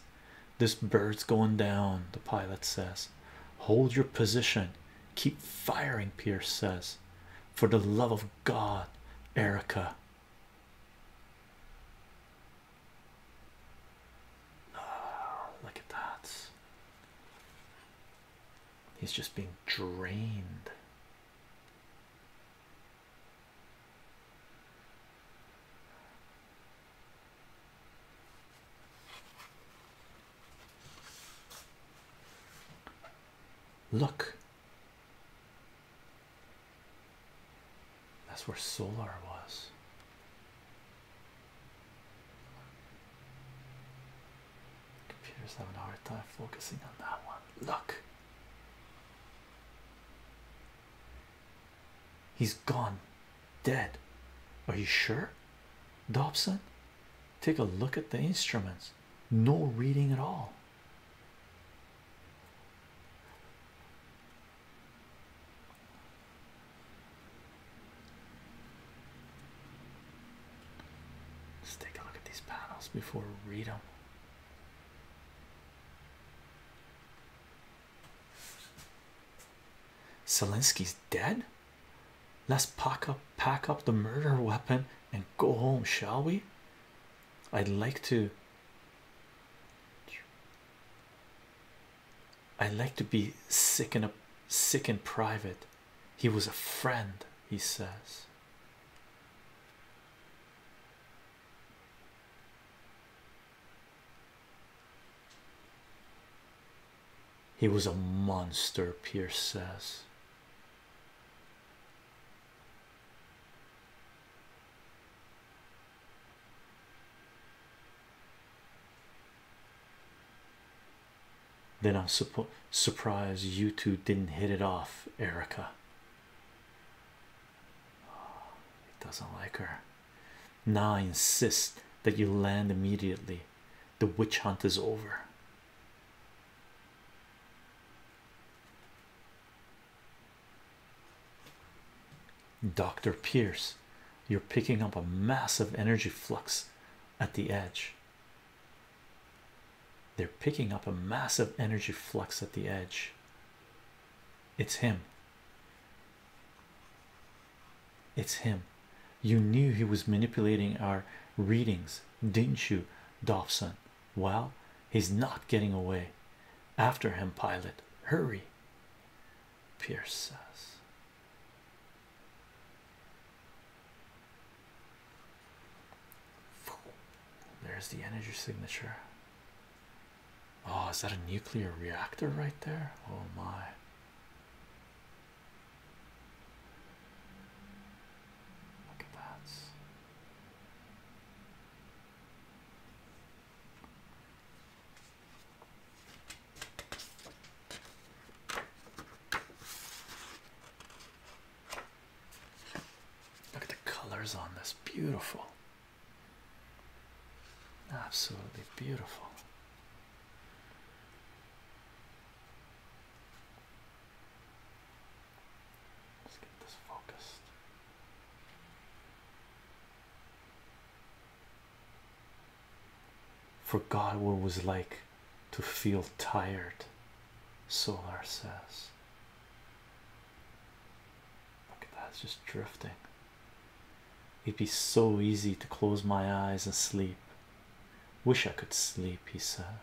This bird's going down, the pilot says. Hold your position. Keep firing, Pierce says. For the love of God, Erica. Oh, look at that. He's just being drained. Look, that's where Solar was. Computers have a hard time focusing on that one. Look, he's gone dead. Are you sure? Dobson, take a look at the instruments. No reading at all. Let's take a look at these panels before we read them. Zelensky's dead. Let's pack up, pack up the murder weapon and go home, shall we? I'd like to I like to be sick and sick and private. He was a friend, he says. He was a monster, Pierce says. Then I'm suppo surprised you two didn't hit it off, Erica. he doesn't like her. Now I insist that you land immediately. The witch hunt is over. Dr. Pierce, you're picking up a massive energy flux at the edge. They're picking up a massive energy flux at the edge. It's him. It's him. You knew he was manipulating our readings, didn't you, Dobson? Well, he's not getting away. After him, pilot. Hurry. Pierce says. There's the energy signature. Oh, is that a nuclear reactor right there? Oh, my. Look at that. Look at the colors on this. Beautiful. Absolutely beautiful. Let's get this focused. Forgot what it was like to feel tired, Solar says. Look at that, it's just drifting. It'd be so easy to close my eyes and sleep. Wish I could sleep, he says.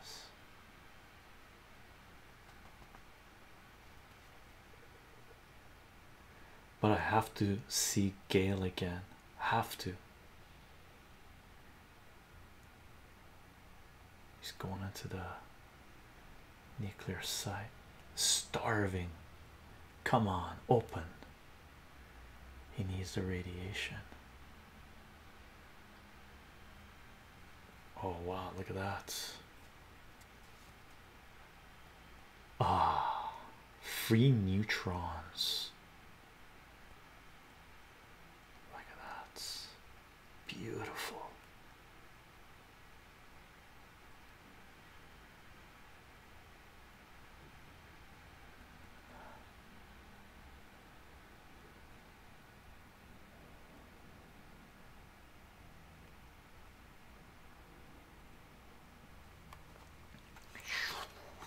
But I have to see Gale again. Have to. He's going into the nuclear site. Starving. Come on, open. He needs the radiation. Oh wow, look at that. Ah, free neutrons. Look at that. Beautiful.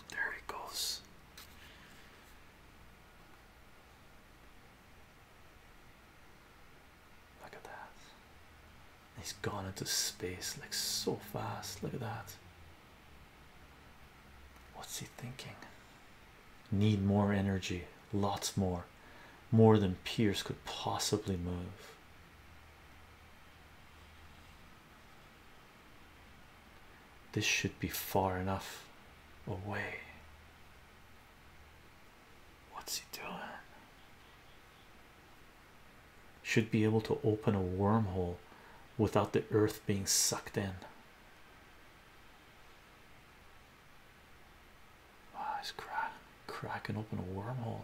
There it goes. Look at that. He's gone into space like so fast. Look at that. What's he thinking? Need more energy, lots more, more than Pierce could possibly move. This should be far enough away. What's he doing? Should be able to open a wormhole without the earth being sucked in. Wow, he's crack cracking open a wormhole.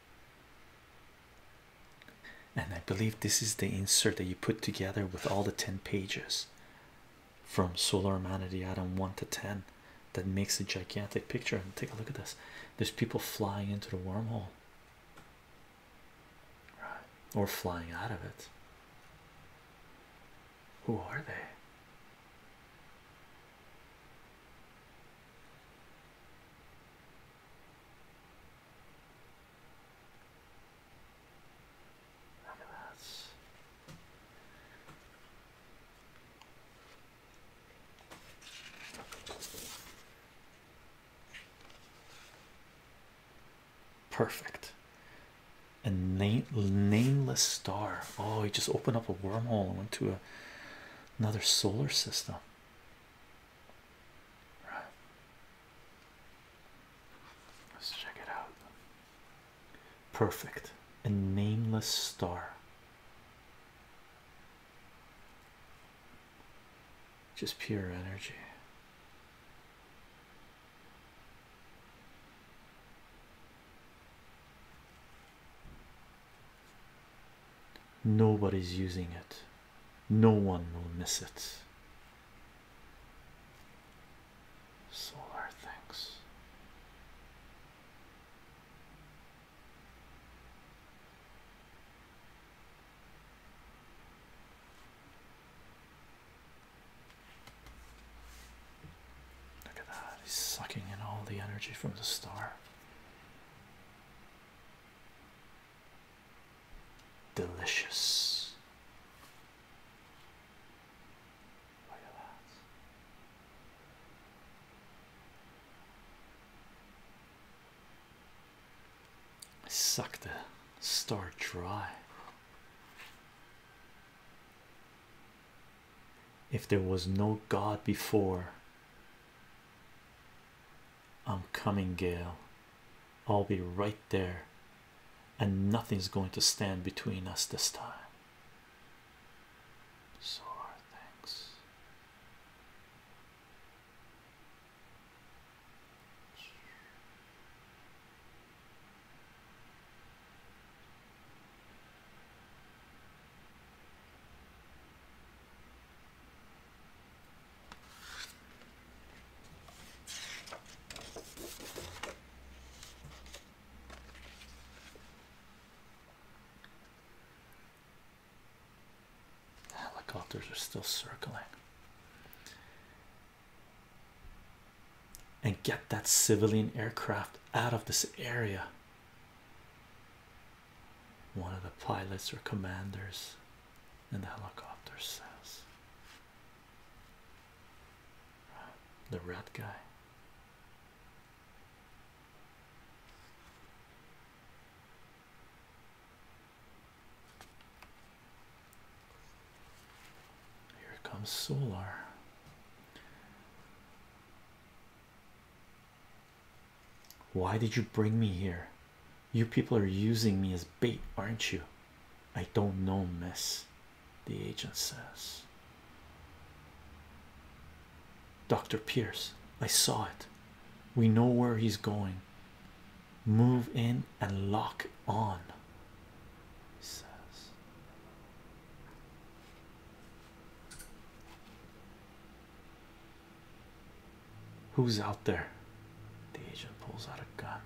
And I believe this is the insert that you put together with all the 10 pages from Solar Humanity Atom 1 to 10 that makes a gigantic picture. And take a look at this there's people flying into the wormhole right. or flying out of it. Who are they? Look at that. Perfect. A name nameless star. Oh, he just opened up a wormhole and went to another solar system. Let's check it out. Perfect. A nameless star. Just pure energy. Nobody's using it no one will miss it. Solar things. Look at that, he's sucking in all the energy from the star delicious. I suck the star dry. If there was no God before, I'm coming, Gale. I'll be right there, and nothing's going to stand between us this time. So thanks. Helicopters ah, are still circling. And get that civilian aircraft out of this area. One of the pilots or commanders and the helicopter says the red guy here comes solar why did you bring me here? You people are using me as bait, aren't you? I don't know, miss. The agent says, Dr. Pierce, I saw it. We know where he's going. Move in and lock on. He says, Who's out there? The agent pulls out a gun.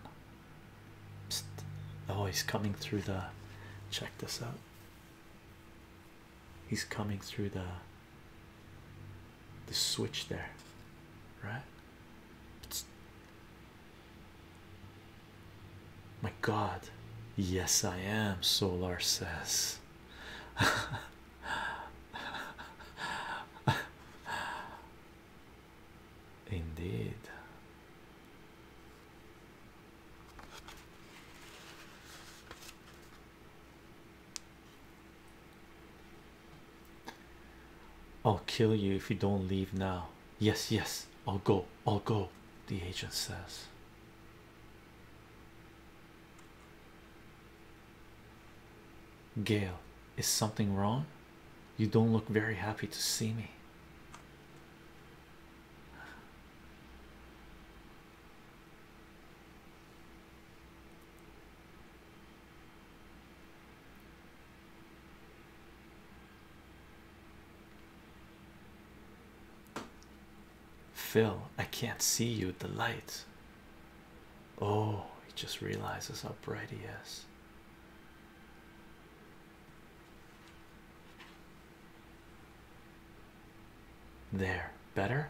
Psst. Oh, he's coming through the. Check this out. He's coming through the. The switch there, right? My God, yes, I am. Solar says. Indeed. I'll kill you if you don't leave now. Yes, yes, I'll go. I'll go, the agent says. Gail, is something wrong? You don't look very happy to see me. Phil, I can't see you. The light. Oh, he just realizes how bright he is. There, better?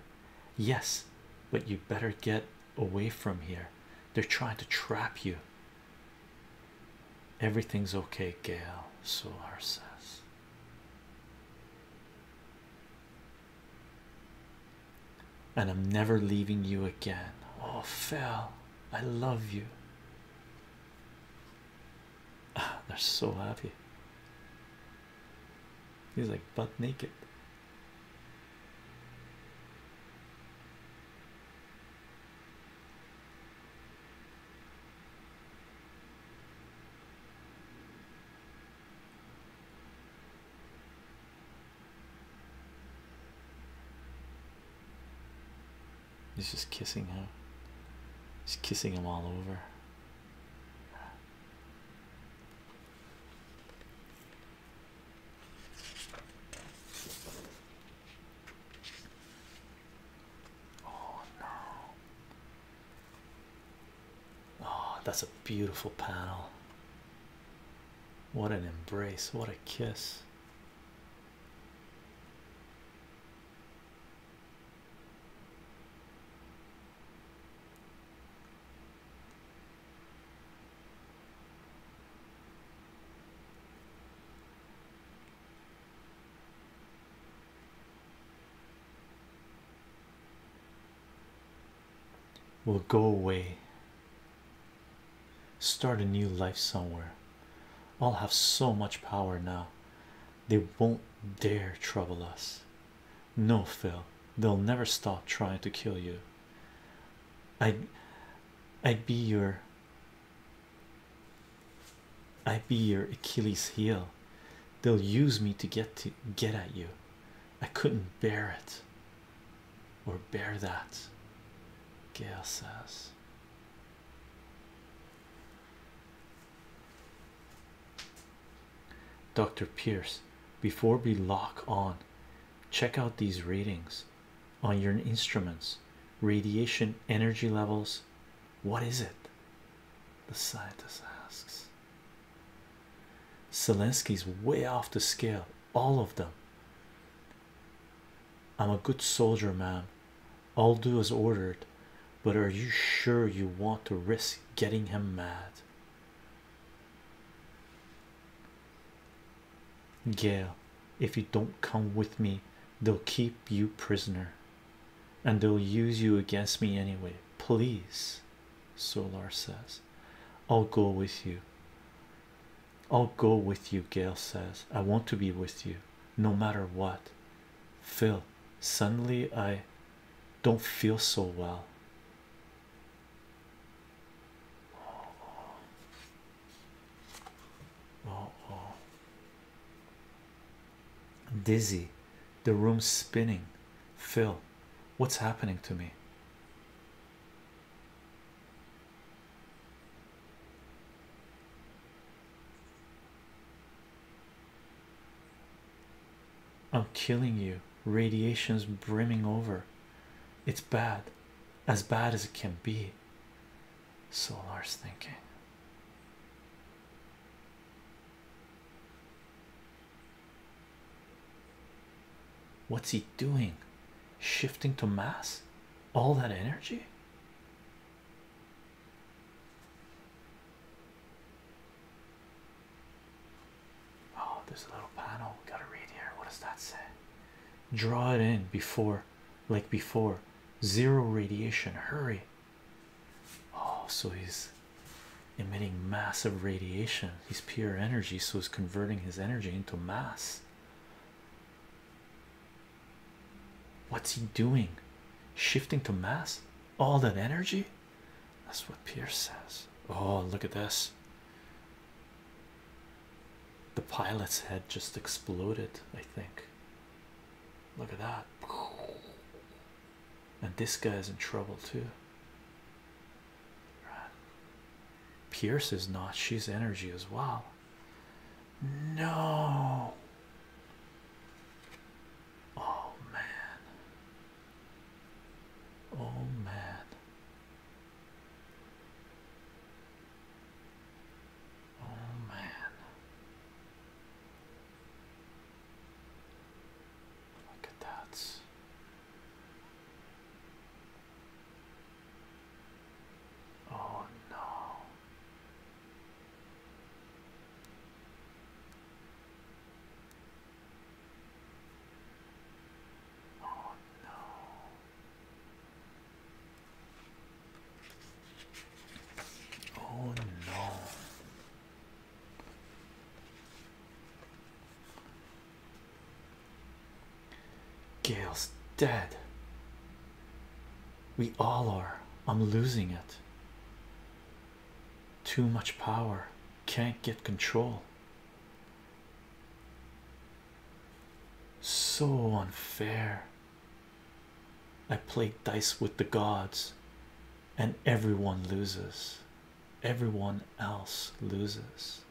Yes, but you better get away from here. They're trying to trap you. Everything's okay, Gail. Solar says and I'm never leaving you again. Oh, Phil, I love you. Ah, they're so happy. He's like butt naked. He's just kissing him. He's kissing him all over. Oh no. Oh, that's a beautiful panel. What an embrace, what a kiss we will go away. Start a new life somewhere. I'll have so much power now. They won't dare trouble us. No, Phil, they'll never stop trying to kill you. I'd, I'd be your, I'd be your Achilles heel. They'll use me to get to get at you. I couldn't bear it or bear that, Gail says. Dr. Pierce, before we lock on, check out these readings on your instruments radiation energy levels. What is it? The scientist asks. Zelensky's way off the scale all of them. I'm a good soldier, ma'am. I'll do as ordered, but are you sure you want to risk getting him mad? Gail, if you don't come with me, they'll keep you prisoner and they'll use you against me anyway. Please, Solar says, I'll go with you. I'll go with you, Gail says. I want to be with you no matter what. Phil, suddenly I don't feel so well. Oh, oh. Dizzy, the room's spinning. Phil, what's happening to me? I'm killing you. Radiation's brimming over. It's bad, as bad as it can be. Solar's thinking. What's he doing? Shifting to mass? All that energy? Oh, there's a little panel. gotta read here. What does that say? Draw it in before, like before, zero radiation. Hurry. Oh, so he's emitting massive radiation. He's pure energy, so he's converting his energy into mass. What's he doing? Shifting to mass? All that energy? That's what Pierce says. Oh, look at this. The pilot's head just exploded, I think. Look at that. And this guy's in trouble too. Pierce is not, she's energy as well. No, oh man, oh man, oh man. Look at that. Oh no. Oh no. Oh no. Gail's dead. We all are. I'm losing it. Too much power. Can't get control. So unfair. I play dice with the gods, and everyone loses. Everyone else loses.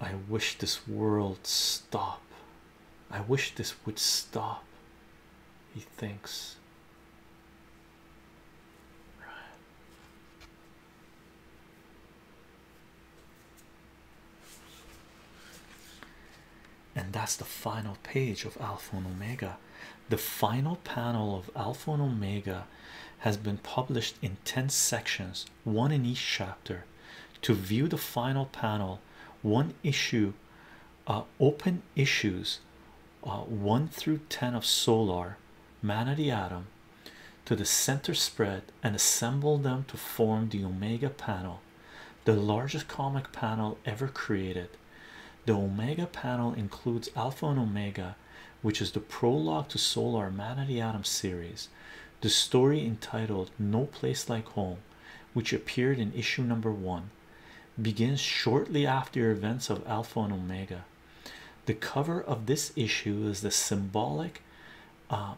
I wish this world stop. I wish this would stop. He thinks and that's the final page of Alpha and Omega. The final panel of Alpha and Omega has been published in 10 sections, one in each chapter. To view the final panel, one issue, uh, open issues uh, 1 through 10 of Solar, Man of the Atom, to the center spread and assemble them to form the Omega panel the largest comic panel ever created. The Omega panel includes Alpha and Omega, which is the prologue to Solar Man of the Atom series. The story entitled No Place Like Home, which appeared in issue number one, begins shortly after events of Alpha and Omega. The cover of this issue is the symbolic uh,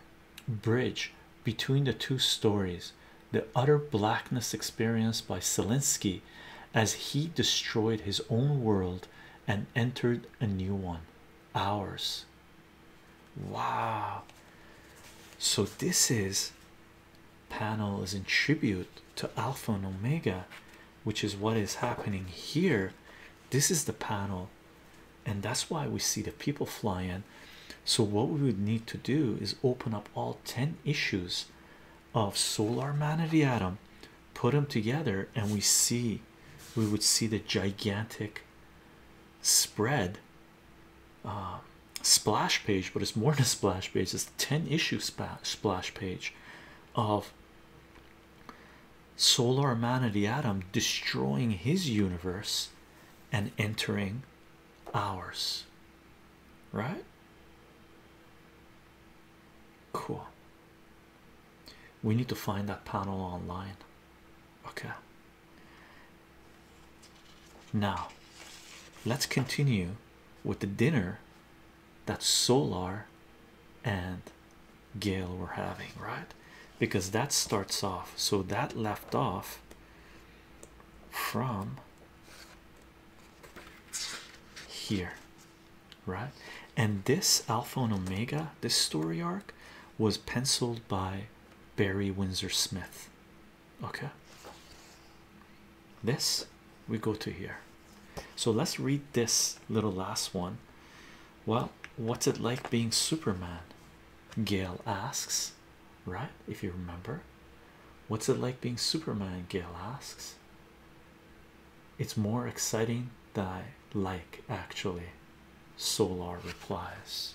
bridge between the two stories the utter blackness experienced by Selinsky as he destroyed his own world and entered a new one ours. Wow, so this is panels in tribute to Alpha and Omega, which is what is happening here. This is the panel, and that's why we see the people flying so what we would need to do is open up all 10 issues of solar man of the atom put them together and we see we would see the gigantic spread uh, splash page but it's more than a splash page it's 10 issue splash page of solar man of the atom destroying his universe and entering ours right? Cool. We need to find that panel online. Okay. Now, let's continue with the dinner that Solar and Gale were having, right? Because that starts off, so that left off from here, right? And this Alpha and Omega, this story arc, was penciled by Barry Windsor Smith. Okay, this we go to here. So let's read this little last one. Well, what's it like being Superman? Gail asks right? If you remember, what's it like being Superman? Gail asks. It's more exciting than I like, actually. Solar replies,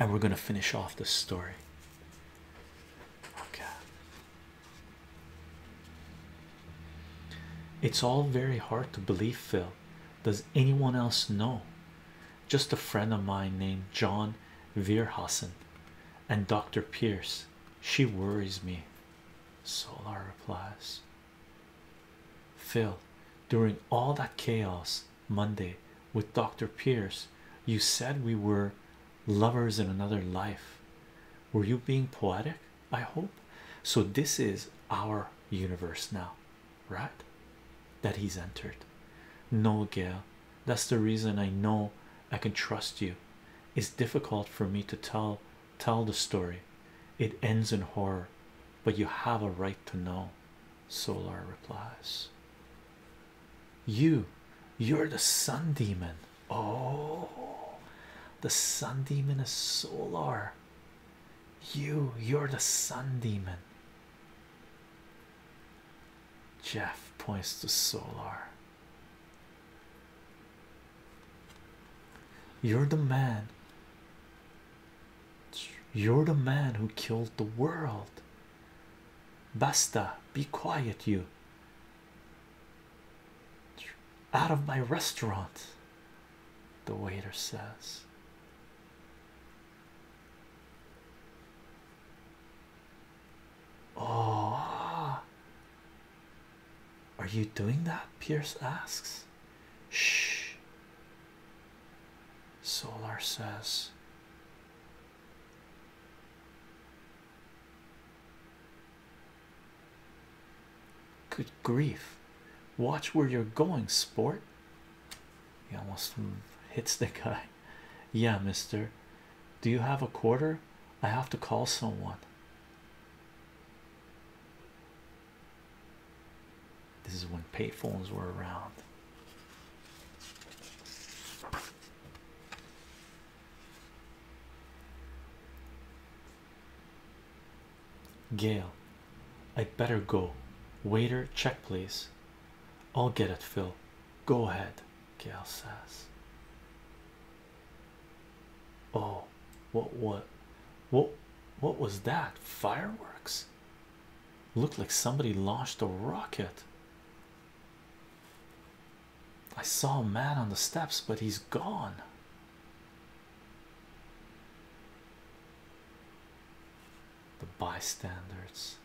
and we're going to finish off this story. Okay. It's all very hard to believe, Phil. Does anyone else know? just a friend of mine named John Verhassen and Dr. Pierce. She worries me. Solar replies. Phil, during all that chaos Monday with Dr. Pierce, you said we were lovers in another life. Were you being poetic? I hope. So, this is our universe now, right? That he's entered. No, Gail, that's the reason I know I can trust you. It's difficult for me to tell tell the story. It ends in horror, but you have a right to know. Solar replies. You, you're the sun demon. Oh, the sun demon is Solar. You, you're the sun demon. Jeff points to Solar. You're the man. You're the man who killed the world. Basta, be quiet, you. Out of my restaurant, the waiter says. Oh, are you doing that? Pierce asks. Shh, Solar says. Good grief, watch where you're going, sport. He almost hits the guy. Yeah, mister. Do you have a quarter? I have to call someone. This is when payphones were around. Gail, I would better go. Waiter, check please. I'll get it, Phil. Go ahead, Gail says. Oh, what what what what was that? Fireworks looked like somebody launched a rocket. I saw a man on the steps, but he's gone. The bystanders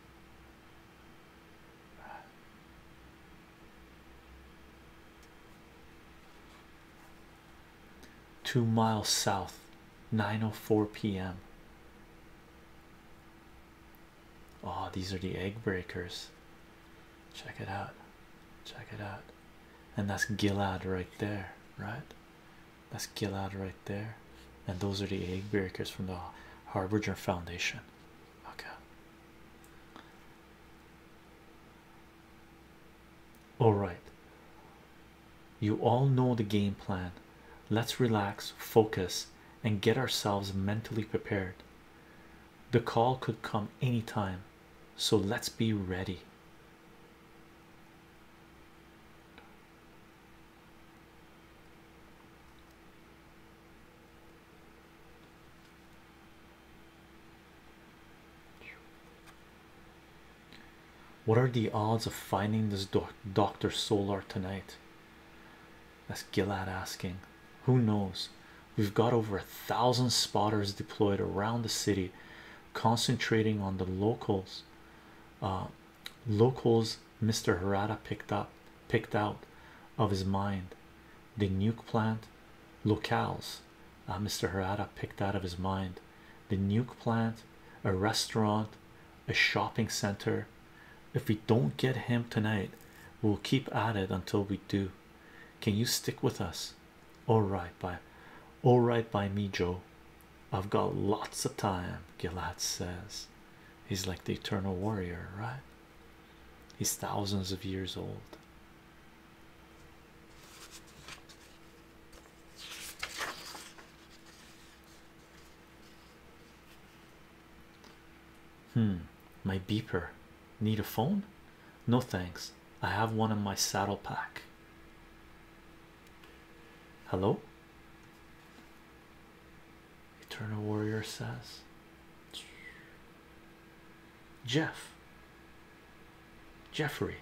two miles south 904 p.m. Oh, these are the egg breakers. Check it out. Check it out. And that's Gilad right there, right? That's Gilad right there and those are the egg breakers from the Harbinger Foundation. Okay. All right. You all know the game plan. Let's relax, focus, and get ourselves mentally prepared. The call could come any time, so let's be ready. What are the odds of finding this Dr. Solar tonight? That's Gilad asking. Who knows? We've got over a thousand spotters deployed around the city, concentrating on the locals. Uh, locals Mr. Herada picked up picked out of his mind the nuke plant locals, uh, Mr. Herada picked out of his mind the nuke plant a restaurant a shopping center if we don't get him tonight we'll keep at it until we do can you stick with us all right by all right by me Joe I've got lots of time Gilad says He's like the eternal warrior, right? He's thousands of years old. Hmm, my beeper. Need a phone? No thanks. I have one in my saddle pack. Hello? Eternal Warrior says. Jeff, Jeffrey,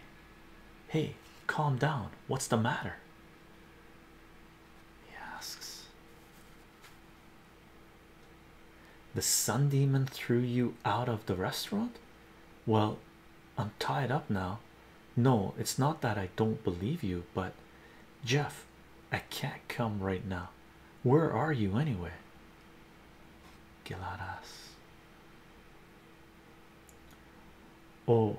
hey, calm down. What's the matter? He asks. The sun demon threw you out of the restaurant? Well, I'm tied up now. No, it's not that I don't believe you, but Jeff, I can't come right now. Where are you anyway? Geladas. Oh,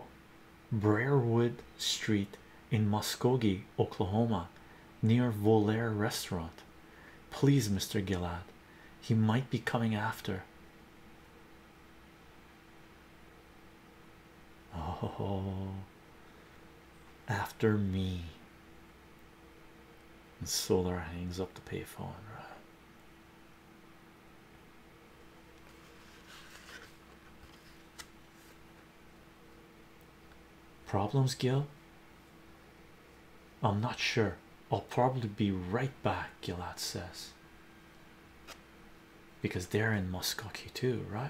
Briarwood Street in Muskogee, Oklahoma, near Volaire Restaurant. Please, Mr. Gillard, he might be coming after. Oh, after me. And Solar hangs up the payphone. Problems, Gil? I'm not sure. I'll probably be right back, Gilad says. Because they're in Muskogee too, right?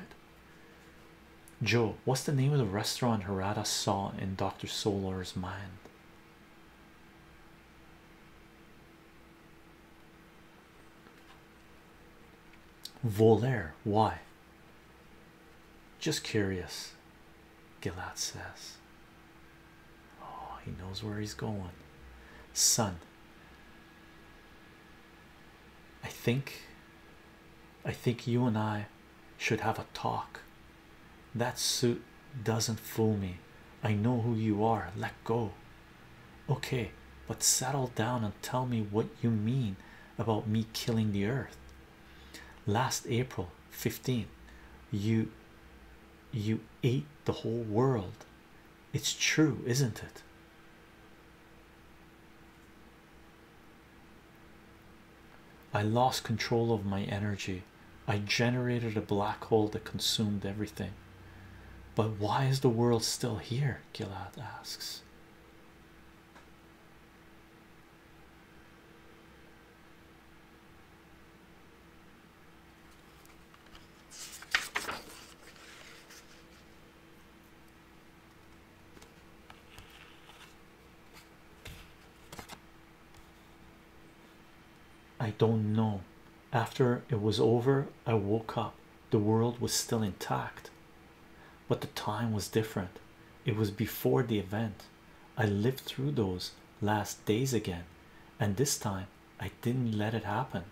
Joe, what's the name of the restaurant Harada saw in Dr. Solar's mind? Volaire, why? Just curious, Gilad says. Oh, he knows where he's going. Son, I think I think you and I should have a talk. That suit doesn't fool me. I know who you are. Let go. Okay, but settle down and tell me what you mean about me killing the earth. Last April 15, you you ate the whole world. It's true, isn't it? I lost control of my energy. I generated a black hole that consumed everything. But why is the world still here? Gilad asks. I don't know. After it was over, I woke up. The world was still intact, but the time was different. It was before the event. I lived through those last days again, and this time I didn't let it happen.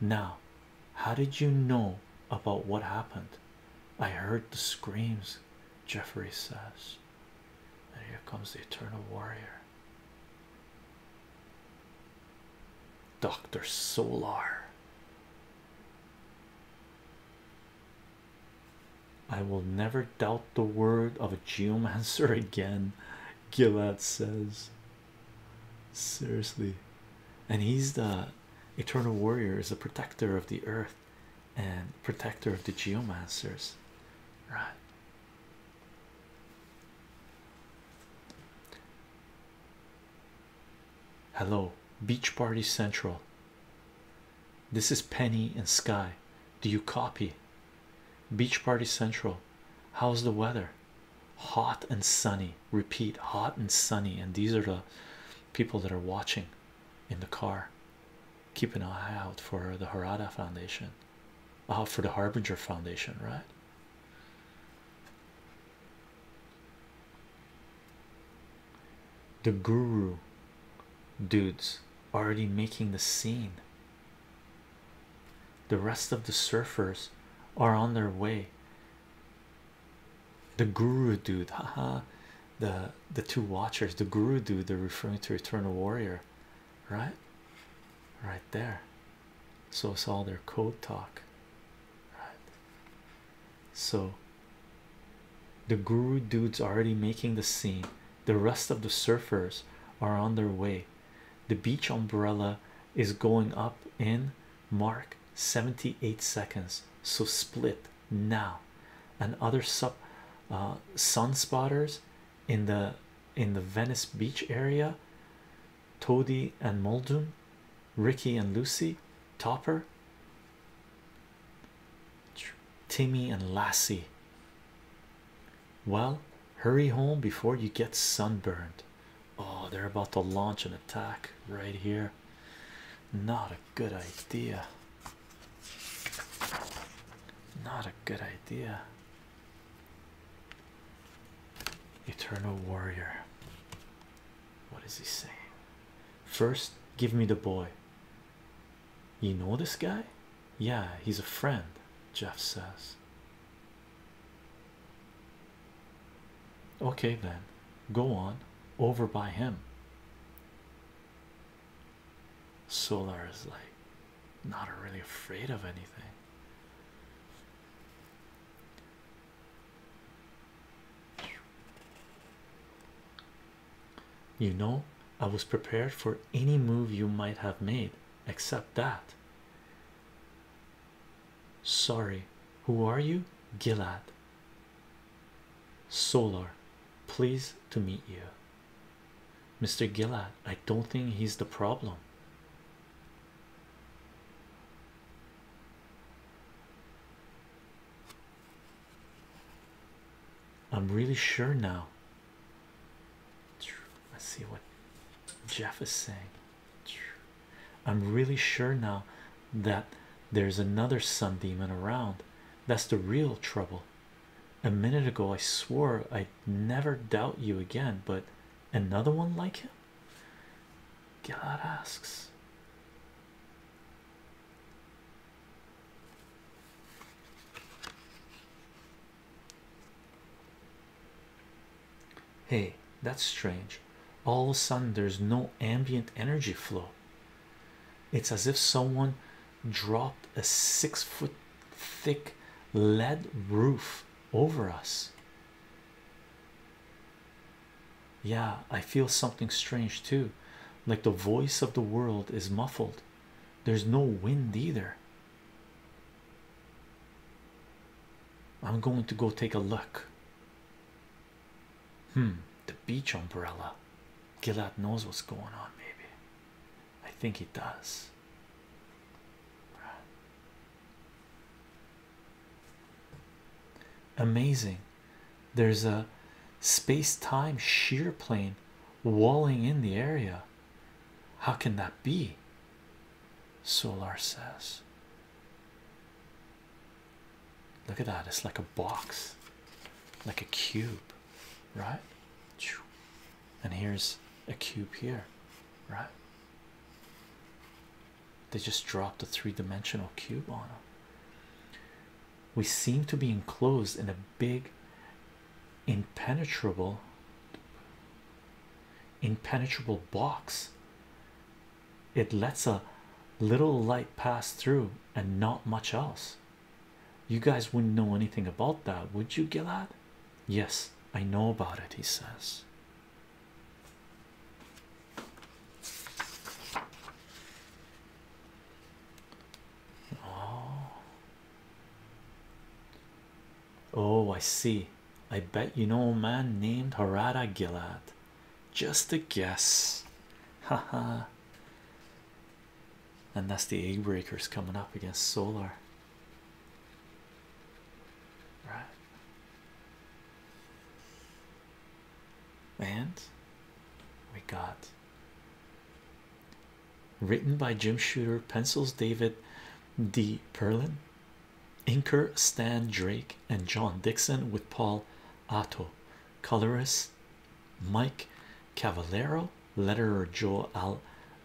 Now how did you know about what happened? I heard the screams, Jeffrey says. And here comes the eternal warrior. Dr. Solar. I will never doubt the word of a geomancer again, Gillette says. Seriously. And he's the eternal warrior is a protector of the earth and protector of the geomancers right hello beach party central this is penny and sky do you copy beach party central how's the weather hot and sunny repeat hot and sunny and these are the people that are watching in the car keep an eye out for the harada foundation uh, for the harbinger foundation right the guru dudes already making the scene the rest of the surfers are on their way the guru dude haha the the two watchers the guru dude they're referring to eternal warrior right right there so it's all their code talk right so the guru dude's already making the scene the rest of the surfers are on their way the beach umbrella is going up in mark 78 seconds so split now and other uh, sun spotters in the in the Venice Beach area Tody and Muldoon Ricky and Lucy Topper Timmy and Lassie well hurry home before you get sunburned oh they're about to launch an attack right here not a good idea. Not a good idea. Eternal warrior. What is he saying? First, give me the boy. You know this guy? Yeah, he's a friend, Jeff says. Okay, then go on over by him. Solar is like not really afraid of anything. You know, I was prepared for any move you might have made except that. Sorry, who are you? Gilad, Solar, pleased to meet you. Mr. Gillard, I don't think he's the problem. I'm really sure now. Let's see what Jeff is saying. I'm really sure now that there's another sun demon around. That's the real trouble. A minute ago, I swore I'd never doubt you again, but another one like him? God asks. Hey, that's strange. All of a sudden, there's no ambient energy flow. It's as if someone dropped a six foot thick lead roof over us. Yeah, I feel something strange too. Like the voice of the world is muffled, there's no wind either. I'm going to go take a look. Hmm, the beach umbrella. Gilad knows what's going on, maybe. I think he does. Amazing. There's a space time shear plane walling in the area. How can that be? Solar says Look at that, it's like a box, like a cube, right? And here's a cube here, right? They just dropped a three dimensional cube on them. We seem to be enclosed in a big, impenetrable, impenetrable box it lets a little light pass through and not much else. You guys wouldn't know anything about that, would you, Gilad? Yes, I know about it, he says. Oh, oh I see. I bet you know a man named Harada Gilad. Just a guess. Haha. and that's the egg breakers coming up against solar. Right. And we got written by Jim Shooter, pencils David D. Perlin, inker Stan Drake, and John Dixon with Paul Otto, colorist Mike Cavallero, letterer Joe Al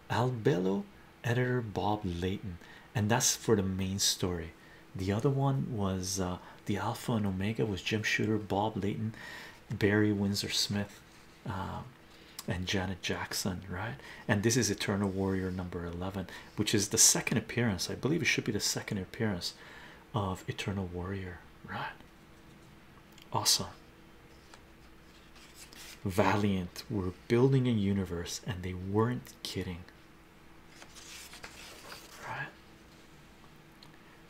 Albello, editor Bob Layton, and that's for the main story. The other one was uh, the Alpha and Omega was Jim Shooter, Bob Layton, Barry Windsor Smith, uh, and Janet Jackson, right? And this is Eternal Warrior number 11, which is the second appearance. I believe it should be the second appearance of Eternal Warrior, right? Awesome. Valiant were building a universe and they weren't kidding. Right?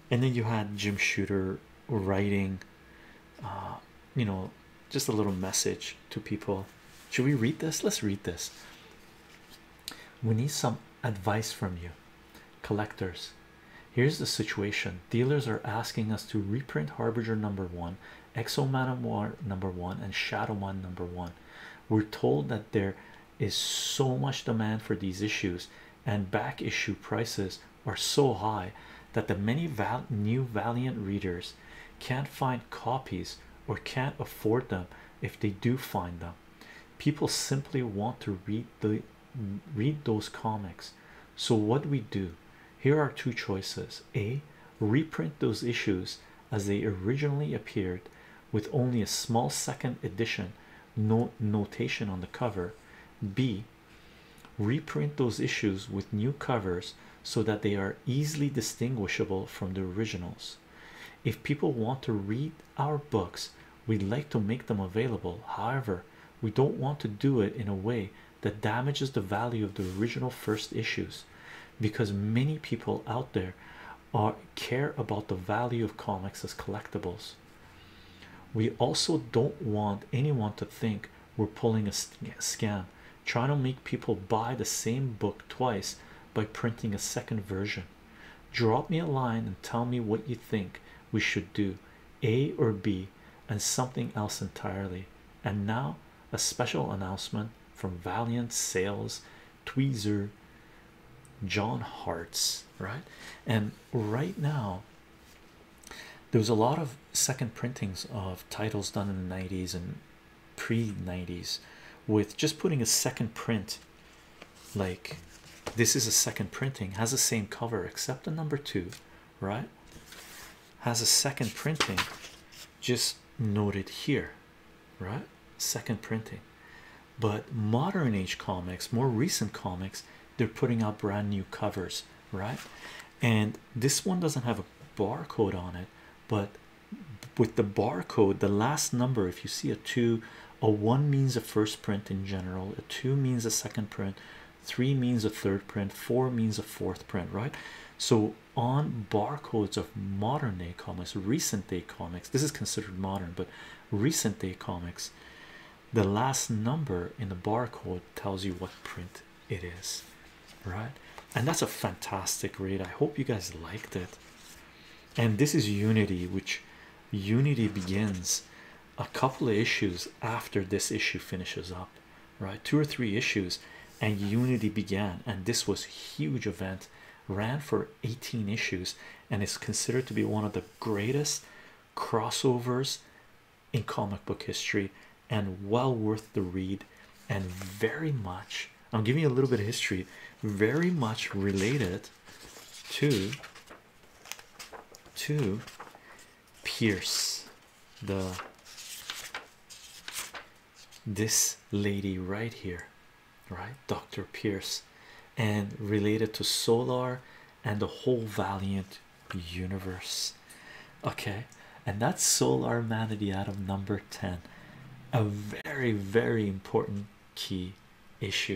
And then you had Jim Shooter writing, uh, you know, just a little message to people. Should we read this? Let's read this. We need some advice from you collectors here's the situation dealers are asking us to reprint harbinger number one exo manowar number one and shadow man number one we're told that there is so much demand for these issues and back issue prices are so high that the many new valiant readers can't find copies or can't afford them if they do find them people simply want to read the read those comics so what we do here are two choices a reprint those issues as they originally appeared with only a small second edition notation on the cover b reprint those issues with new covers so that they are easily distinguishable from the originals if people want to read our books We'd like to make them available, however, we don't want to do it in a way that damages the value of the original first issues because many people out there are care about the value of comics as collectibles. We also don't want anyone to think we're pulling a scam, trying to make people buy the same book twice by printing a second version. Drop me a line and tell me what you think we should do, A or B, and something else entirely. And now, a special announcement from Valiant Sales Tweezer John Hart's right. And right now, there's a lot of second printings of titles done in the 90s and pre 90s with just putting a second print like this is a second printing has the same cover except the number two right has a second printing just noted here right second printing but modern age comics more recent comics they're putting out brand new covers right and this one doesn't have a barcode on it but with the barcode the last number if you see a two a one means a first print in general a two means a second print three means a third print four means a fourth print right so on barcodes of modern day comics recent day comics this is considered modern but recent day comics the last number in the barcode tells you what print it is right and that's a fantastic read i hope you guys liked it and this is unity which Unity begins a couple of issues after this issue finishes up, right? Two or three issues, and Unity began, and this was a huge event, ran for 18 issues, and is considered to be one of the greatest crossovers in comic book history, and well worth the read, and very much. I'm giving you a little bit of history, very much related to to pierce the this lady right here right dr pierce and related to solar and the whole valiant universe okay and that's solar manity of number 10 a very very important key issue